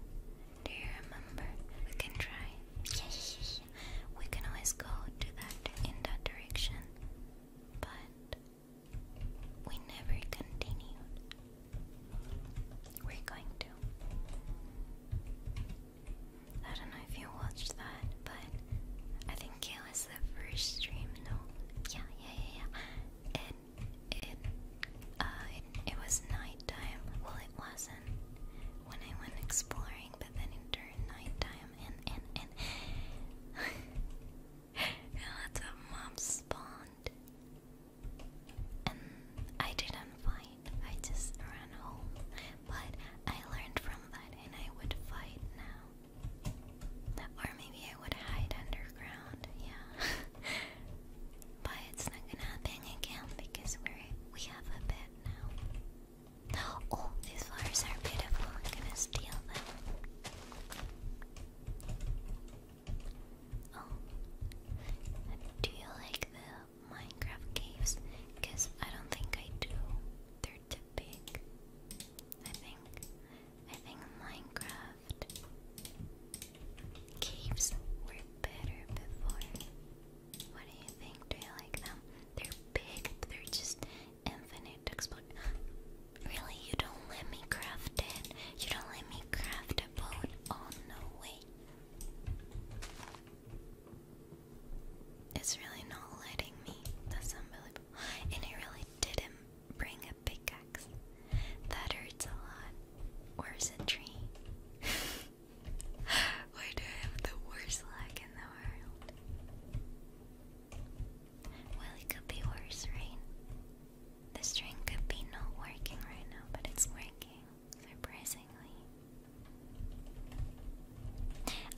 Do you remember? We can try. We can always go to that in that direction, but we never continued. We're going to. I don't know if you watched that, but I think it was the first stream, no? Yeah, yeah, yeah, yeah. And it, uh, it, it was nighttime. Well, it wasn't when I went exploring, but then it turned nighttime, and and and lots of mobs spawned, and I didn't fight. I just ran home, but I learned from that, and I would fight now. Or maybe I would hide underground, yeah. but it's not gonna happen again because we we have a bed now. Oh, these flowers are beautiful. I'm gonna steal them. Oh, do you like the Minecraft caves? Because I don't think I do hard to I think I think Minecraft caves were better before. What do you think? Do you like them? They're big, they're just infinite Really? You don't let me craft it? You don't let me craft a boat? Oh no way. It's really not letting me. That's unbelievable and I really didn't bring a pickaxe. That hurts a lot. Where's a tree? Why do I have the worst luck in the world? Well, it could be worse, right? The string could be not working right now, but it's working, surprisingly.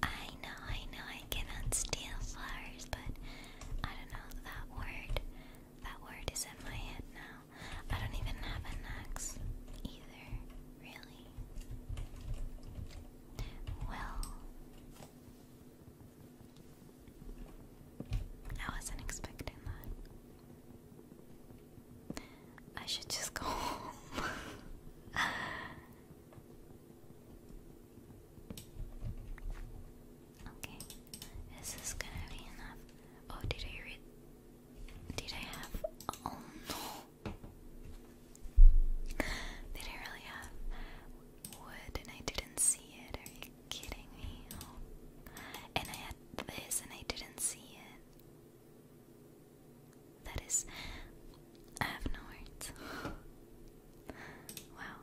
I know, I know, I cannot steal flowers, but I don't know that word. That word is in my head now. I don't even have an axe either, really. Well, I wasn't expecting that. I should just go home. Okay, is this gonna be enough? Oh, did I read? Did I have? Oh no! Did I really have wood and I didn't see it? Are you kidding me? Oh. And I had this and I didn't see it. That is. I have no words. Wow.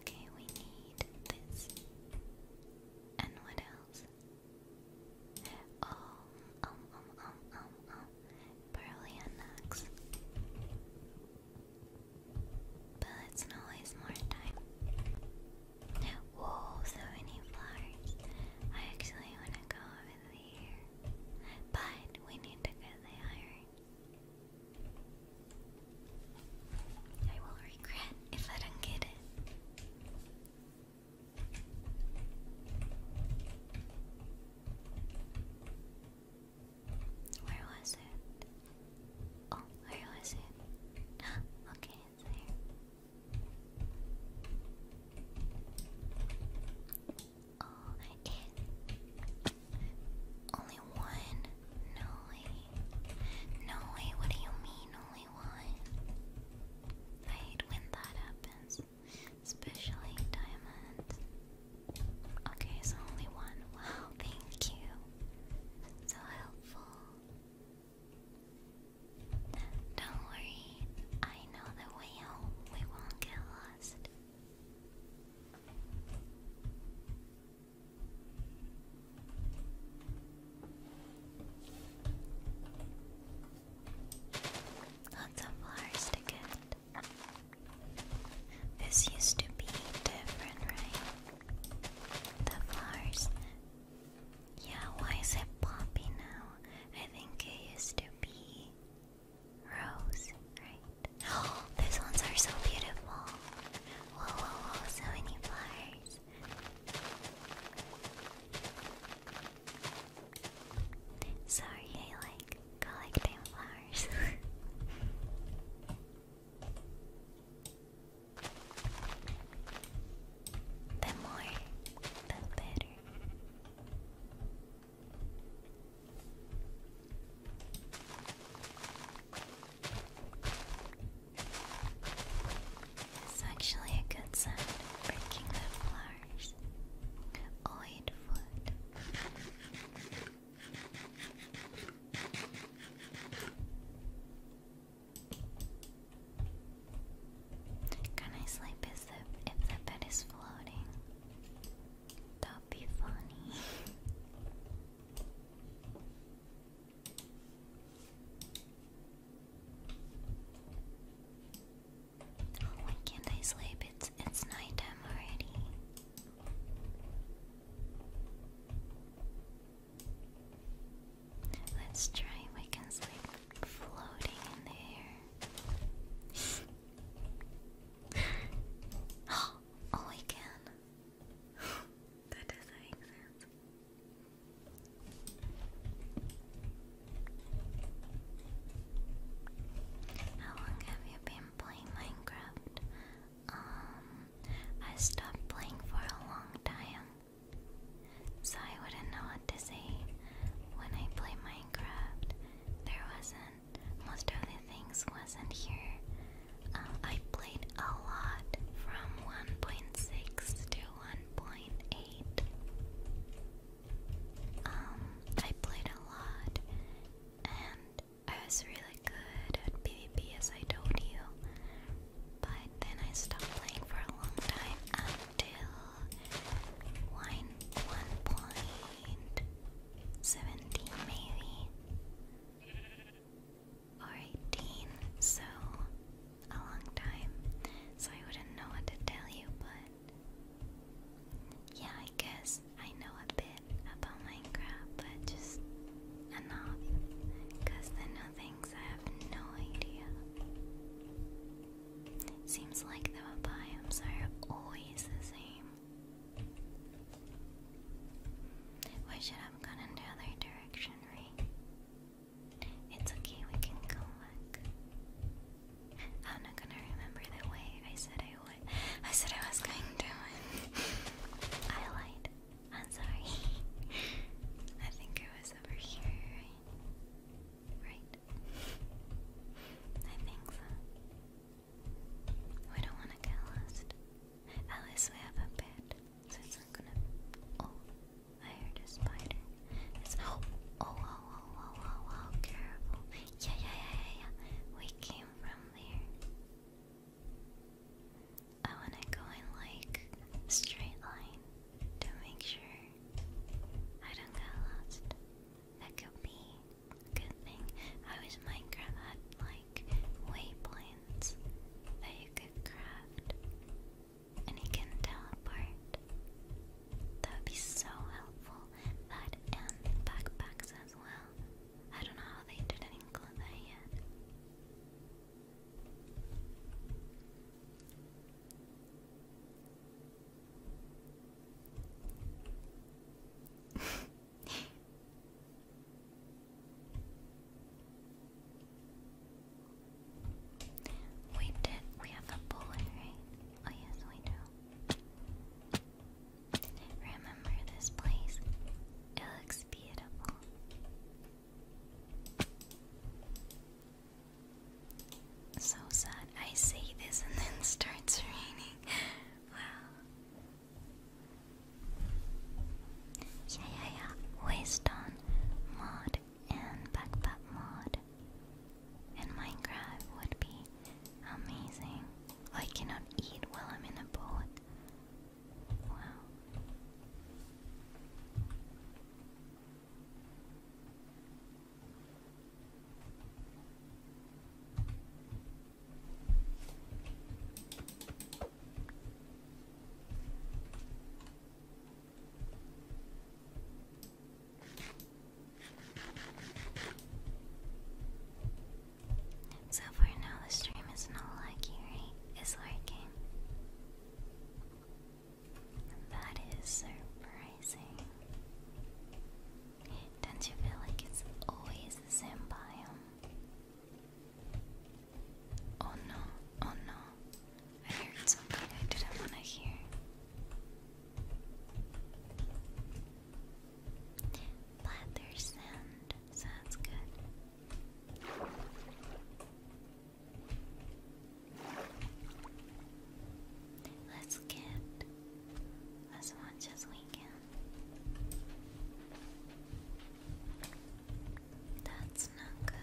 Okay, we need this. And what else? Oh, um, um, um, um, um. Probably an axe. But let's more time. Whoa, so many flowers. I actually want to go over here. But we need to get the iron. I will regret if I don't get it. Where was it? Oh, where was it? okay, it's there. Oh, it. Only one? No way. No way, what do you mean only one? I when that happens. Especially diamonds. Okay, so only one. Wow, thank you. So helpful. Don't worry, I know the way home. We won't get lost. Lots of flowers to This used to be different, right? The flowers. Yeah, why is it poppy now? I think it used to be Rose, right? Oh, those ones are so beautiful. Whoa, whoa, whoa, so many flowers. Sorry, I like collecting flowers. the more, the better. It's actually a good sign. breaking the flowers. Oid foot. Can I sleep if the, if the bed is floating? That'd be funny. why oh, can't I sleep? It's it's nighttime already. Let's try we sleep floating in the air. Oh, Oh, oh, I can. that doesn't make sense. How long have you been playing Minecraft? Um, I stopped playing for a long time, so I wouldn't know what to say. When I play Minecraft, there wasn't most of the things wasn't here. Um, I played a lot from 1.6 to 1.8. Um, I played a lot and I was really good at PvP as I told you. But then I stopped playing for a long time until 1.17 maybe or 18, so a long time. So I wouldn't know what to tell you, but yeah, I guess I know a bit about Minecraft, but just enough. the new things I have no idea. Seems like the biomes are always the same. We should have gone in the other direction, right? It's okay, we can go I'm not gonna remember the way I said I would. I said I was going to. I lied. I'm sorry. I think it was over here, Right? I think so. We don't want to get lost. At least we have a bed, so it's not gonna. Oh, I heard a spider. Oh oh, oh, oh, oh, oh, oh, oh, careful! Yeah, yeah, yeah, yeah, yeah. We came from there. I wanna go in like straight line to make sure I don't get lost. That could be Good thing I was Minecraft had like waypoints that you could craft and you can teleport. That would be so helpful. That and backpacks as well. I don't know how they didn't include that yet. we did. We have a bullet, right? Oh yes, we do. Remember this place? It looks beautiful. So sad. I say this and then starts raining. wow. Yeah, yeah, yeah. Waste on mod and backpack mod in Minecraft would be amazing. Oh, I cannot eat while I'm in a boat. Wow. So for now, the stream is not laggy, right? It's working. That is surprising. Don't you feel like it's always the same Oh no, oh no. I heard something I didn't want to hear. But there's good. Let's get as much as we can. That's not good.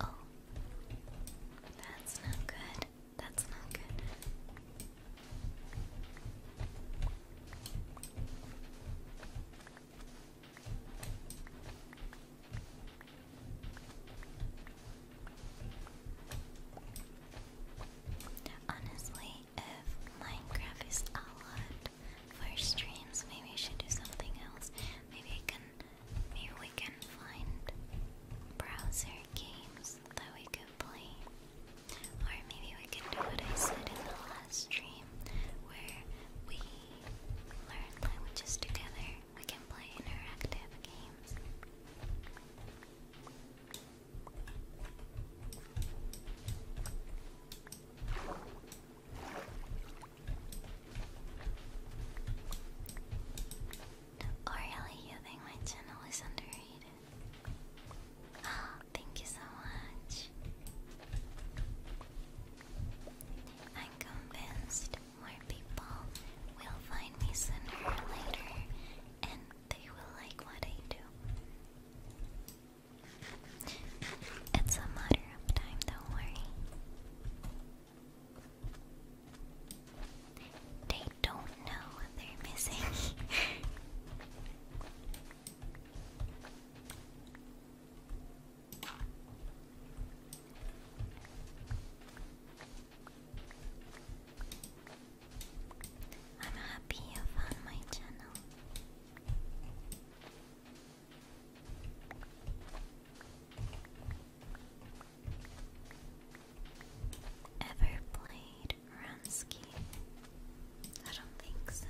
Oh, that's not good. That's not good. Honestly, if Minecraft is a lot for streams, maybe I should do something else. Maybe I can Maybe we can find browser games that we can play. Or maybe we can do what I said in the last stream where we learn languages together. We can play interactive games. Or really, you think my channel is underrated? Oh, thank you so much. I'm convinced more people will find me sooner or later, and they will like what I do. It's a matter of time, don't worry. They don't know what they're missing. I'm happy you found my channel. Ever played Runsky? I don't think so.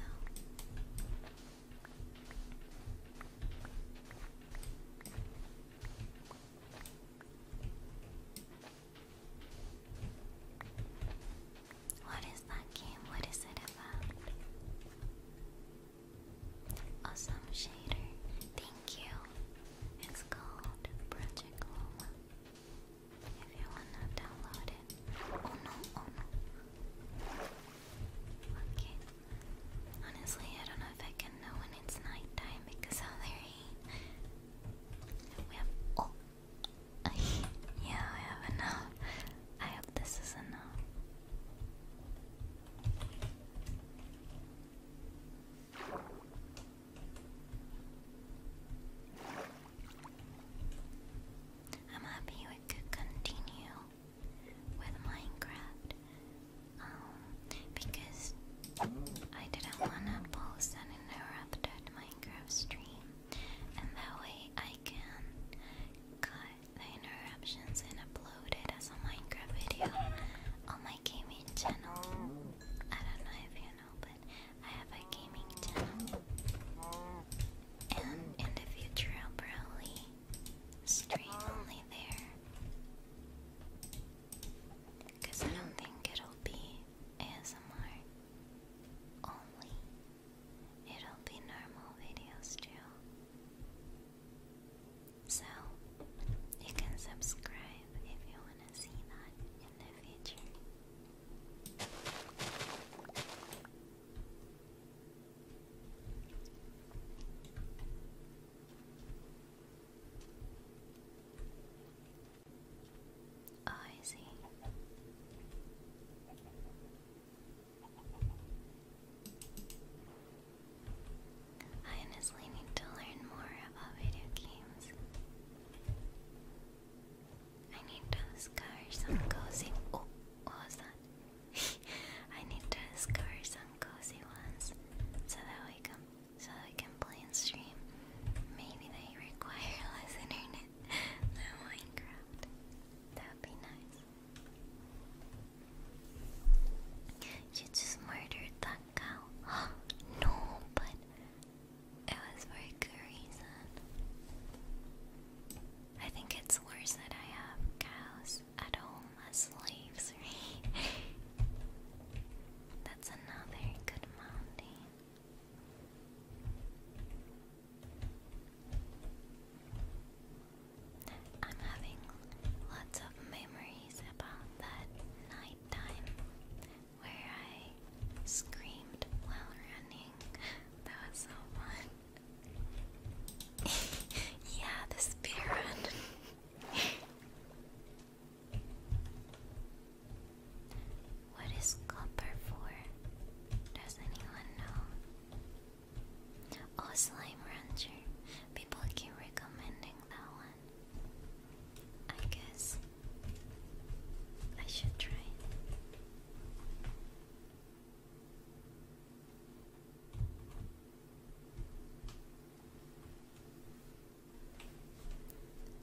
What is that game? What is it about? Awesome shader. Thank you. It's called Project Loma. If you wanna download it. Oh no, oh no. Okay. Honestly, I don't know if I can know when it's nighttime because of the We have. Oh! yeah, I have enough. I hope this is enough. I'm happy we could continue with Minecraft um, because I didn't want to post an interrupted Minecraft stream, and that way I can cut the interruptions and upload it as a Minecraft video on my gaming channel. I don't know if you know, but I have a gaming channel. And in the future, I'll probably stream only there. Because I don't think it'll be ASMR only. It'll be normal videos too. So, you can subscribe if you want to see that in the future. Oh, I see. I honestly need to learn more about video games. I need to discover some cozy. Oh, what was that? I need to discover some cozy ones so that we can so that we can play and stream. Maybe they require less internet than Minecraft. That would be nice. You just murdered that cow? no, but it was for good reason. I think it's worse that I have cows at home as slaves, That's another good mountain. I'm having lots of memories about that nighttime where I screamed while running. That was so fun. yeah, the speed run. what is copper for? Does anyone know? Oh, Slime Rancher. People keep recommending that one. I guess I should try.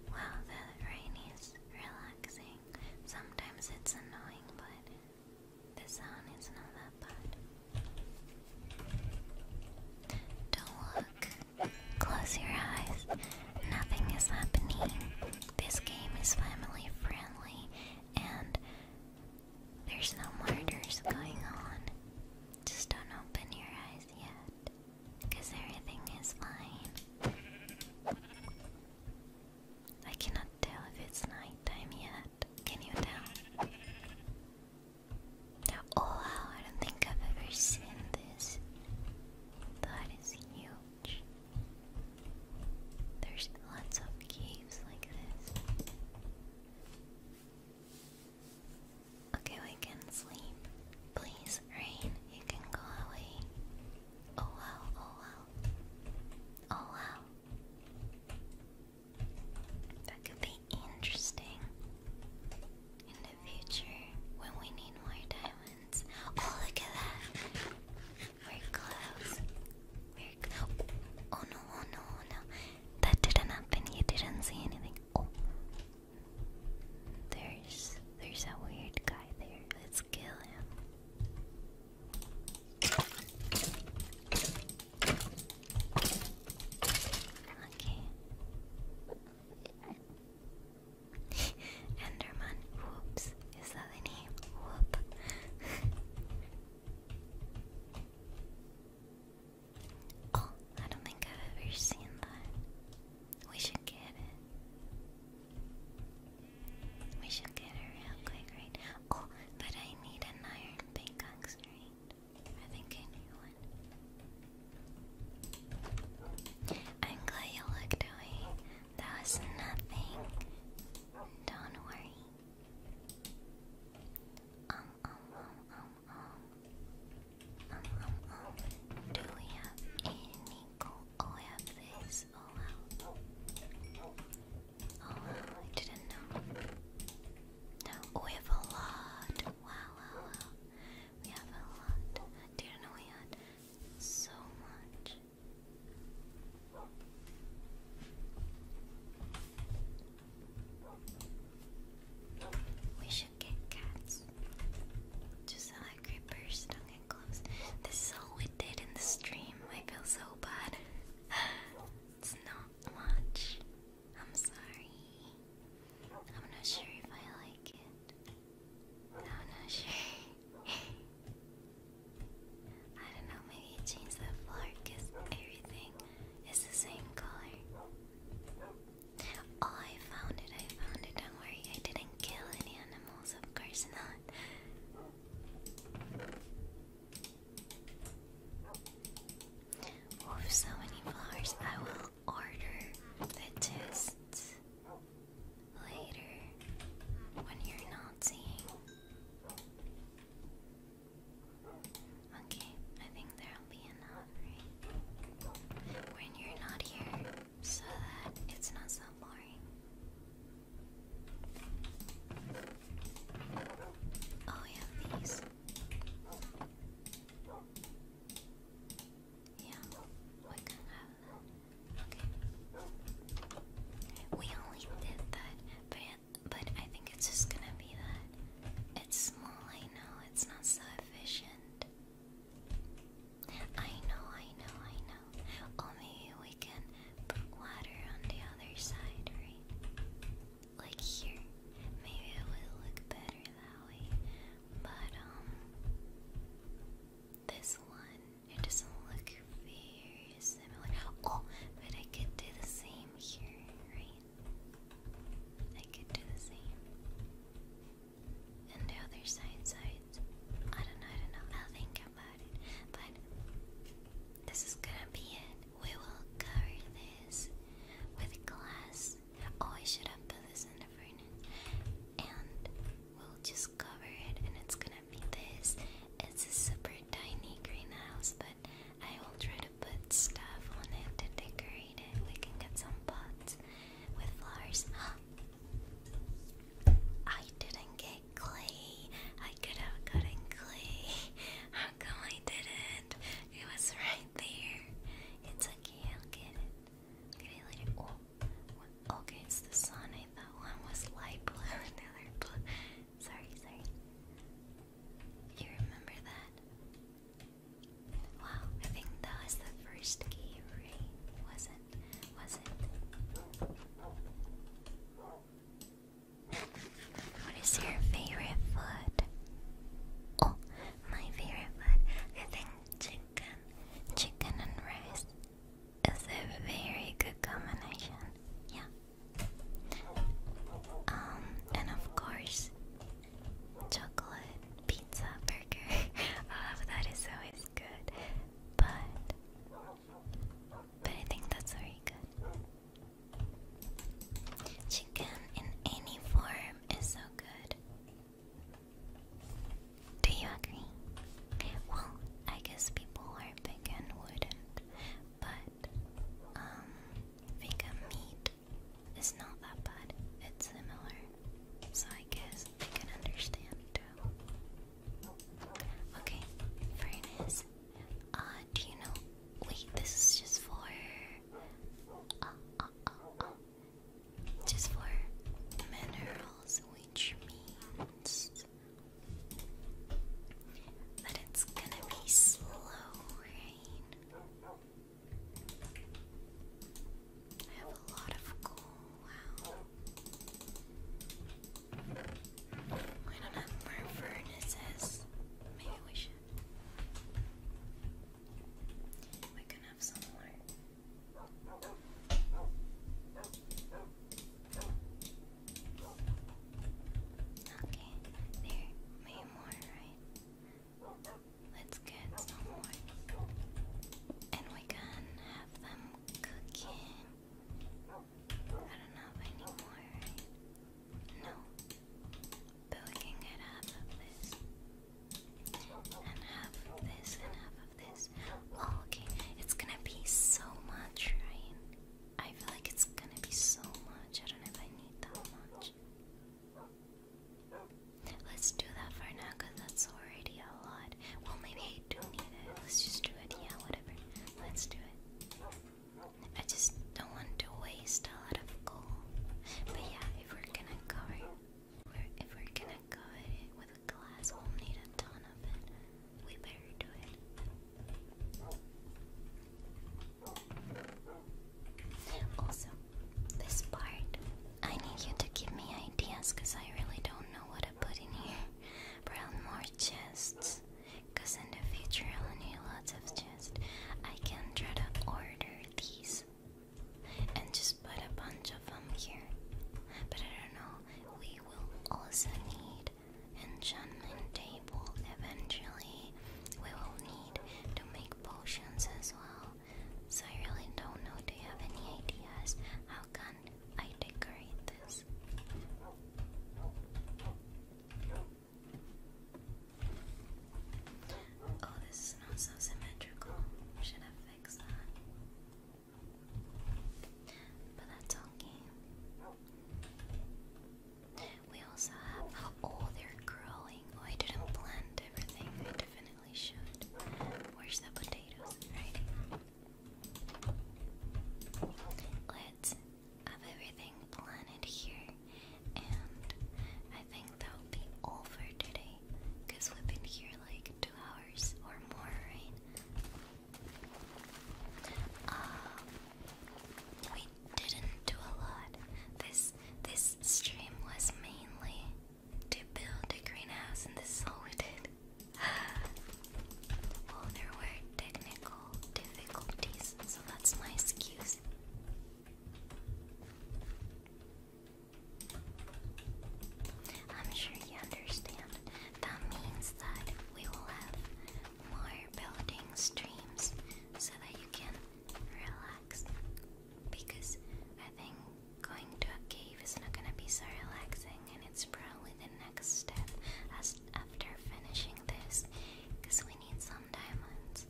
Wow, the rain is relaxing. Sometimes it's annoying, but the sound is not that bad. Don't close your eyes. Nothing is happening. This game is family friendly and there's no murders going on. Just don't open your eyes yet, because everything is fine. I cannot tell if it's nighttime yet. Can you tell? Oh wow, I don't think I've ever seen this. That is huge. There's lots of caves like this. Okay, we can sleep. Please, rain, you can go away. Oh wow, oh wow. Oh wow. That could be interesting in the future when we need more diamonds. Oh, look at that! We're close. We're oh no, oh no, oh, no. That didn't happen. You didn't see anything. Oh. There's there's a weird guy there. Let's kill him. Okay. Enderman, whoops, is that the name? Whoop. oh, I don't think I've ever seen that. We should get it. We should get it real quick, right? Oh, but I need an iron pickaxe, right? I think I need one. I'm glad you looked away. That was nothing. Don't worry. Um um um um um um um um. Do we have any Oh, we have this. Oh wow. Oh wow! I didn't know. No, we have a lot. wow. We have a lot. Do you know we had so much? We should get cats. Just how like creepers don't get close. This is all we did in the stream. I feel so bad. it's not much. I'm sorry. I'm not sure if I like it. I'm not sure. I don't know, maybe change the floor because everything is the same color. Oh, I found it, I found it. Don't worry, I didn't kill any animals, of course not. Oof, so many flowers. I will order the tests later when you're not seeing. Okay, I think there'll be enough, When you're not here, so that it's not so boring. Oh, yeah, these. Yeah, Okay. We only did that, but but I think it's just gonna be that. It's small, I know, it's not so efficient. I know, I know, I know. Or oh, maybe we can put water on the other side, right? Like here. Maybe it will look better that way. But um this one it doesn't look very similar. Oh, but I could do the same here, right? I could do the same. And the other side sides. I don't know, I don't know. I'll think about it. But this is gonna be it. We will cover this with glass Oh, I should have put this in the furnace. And we'll just cover it, and it's gonna be this. It's a super tiny greenhouse, but I will try to put stuff on it to decorate it. We can get some pots with flowers. I didn't get clay. I could have gotten clay. How come I didn't? It was right there. It's okay, I'll get it. Did oh, oh, okay, it's the sun. I thought one was light blue the other Sorry, sorry. You remember that? Wow, I think that was the first game, right? Was it? Was it? What is your favorite food? Oh, my favorite food. I think chicken chicken, chicken and rice is a very good combination. Yeah. Um, and of course, chocolate pizza burger. All that is always good, but but I think that's very good. Chicken in any form is so good. Do you agree? Well, I guess people are vegan wouldn't, but vegan um, meat is not that bad. It's similar, so I guess I can understand too. Okay, fairness. Uh, do you know? Wait, this is just for. Uh, uh, uh, just for minerals, which means that it's gonna be slow rain. I have a lot of coal. We don't have more furnaces. Maybe we should. We can have some more. Okay, there, way more, right? Let's get some more. And we can have them cooking. I don't have any more, No. But we can get half of this and half this, and half of this. Oh, okay. It's gonna be so much, right? I feel like it's gonna be so much. I don't know if I need that much. Let's do that for now, because that's already a lot. Well, maybe I do need it. Let's just do it. Yeah, whatever. Let's do it. I just don't want to waste a lot of gold. But yeah, if we're gonna go if we're gonna go with a glass, we'll need a ton of it. We better do it. Also, this part, I need you to give me ideas because I really don't know what to put in here. Probably more chests because in the future I'll need lots of chests. I can try to order these and just put a bunch of them here. But I don't know, we will also need enchantment table eventually. We will need to make potions as well. So I really don't know. Do you have any ideas? How can I decorate this? Oh, this is not so symmetrical. Should have but that's okay. We also have. Oh, they're oh, I didn't plant everything. I definitely should. Where's the potatoes? Right. Let's have everything planted here. And I think that'll be all for today. Because we've been here like two hours or more, right? Um, we didn't do a lot. This this stream was mainly to build the greenhouse, and this all we did. well, there were technical difficulties, so that's my excuse. I'm sure you understand. That means that we will have more building streams so that you can relax. Because I think going to a cave is not gonna be so relaxing, and it's probably the next step after finishing this. Because we need some diamonds.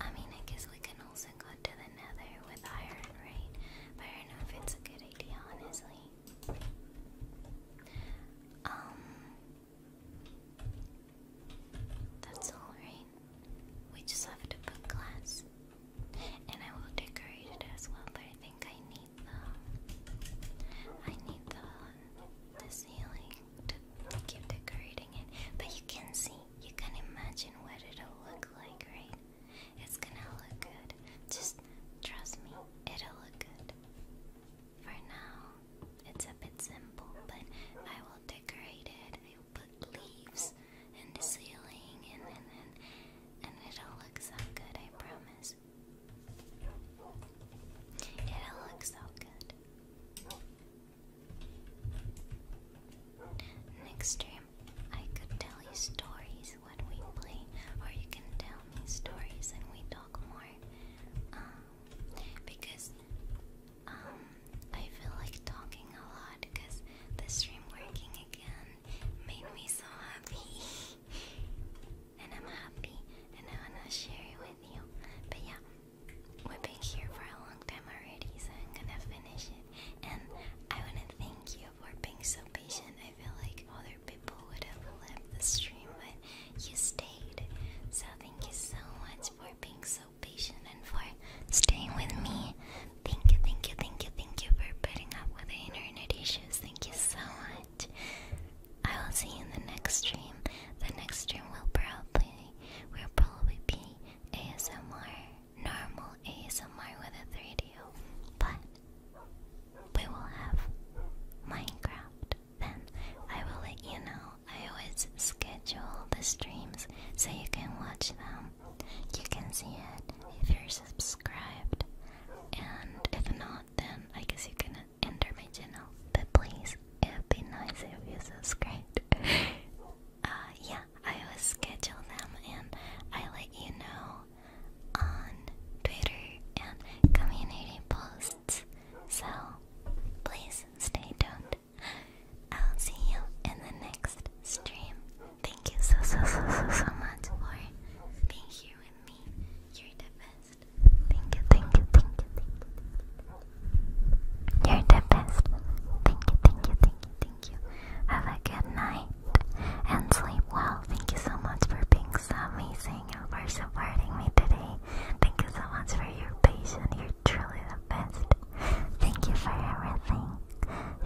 I mean, I guess we can also go to the nether with iron, right? But I don't know if it's a good idea, honestly. Um. That's all right. We just have to put glass. And I will decorate it as well, but I think I need the I need the ceiling to keep decorating it. But you can see, you can imagine what it'll look like, right? It's gonna look good. Just trust me, it'll look good. For now, it's a bit simple, but I will decorate it. I will put leaves in the ceiling, and then, and, it'll look so good. I promise. It'll look so good. Next stream, I could tell you stories when we play, or you can tell me stories and we talk more. Um, because um, I feel like talking a lot because the stream working again made me so happy, and I'm happy, and I wanna share it with you. But yeah, we've been here for a long time already, so I'm gonna finish it. And I wanna thank you you for being so patient. I feel like other people would have left the stream, but you stayed. So thank you so much for being so patient and for staying with me. Thank you, thank you, thank you, thank you for putting up with the internet issues. Thank you so much. I will see you in the next stream. The next stream will probably will probably be ASMR normal somewhere with a 3DO, but we will have Minecraft. Then I will let you know. I always schedule the streams so you can watch them. You can see it if you're subscribed, and if not, then I guess you can enter my channel. But please, it'd be nice if you subscribed. uh, yeah, I will schedule them and I let you know on Twitter and community posts. So please stay tuned. I'll see you in the next stream. Thank you so so so so so much for being here with me. You're the best. Thank you, thank you, thank you, thank you. You're the best. Thank you, thank you, thank you, thank you thank you. Have a good night and sleep well. Thank you so much for being so amazing and for supporting me today. Thank you so much for your patience. You're truly the best. Thank you for everything.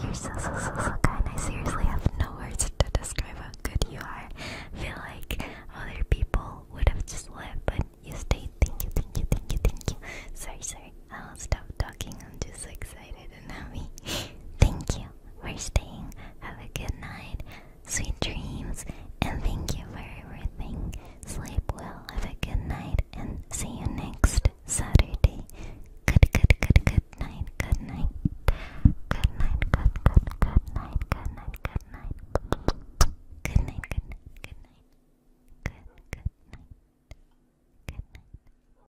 You're so, so, so, so kind. I seriously have no words to describe how good you are. I feel like other people would have just left, but you stayed. Thank you, thank you, thank you, thank you. Sorry, sorry. I'll stop talking. I'm just so excited excited and happy. thank you for staying. Have a good night. Sweet dreams. And thank you for everything. Sleep well. Have a good night. And see you next Saturday. Good, good, good, good night. Good night. Good night. Good, good, good night. Good night. Good night. Good night. good night. Good night.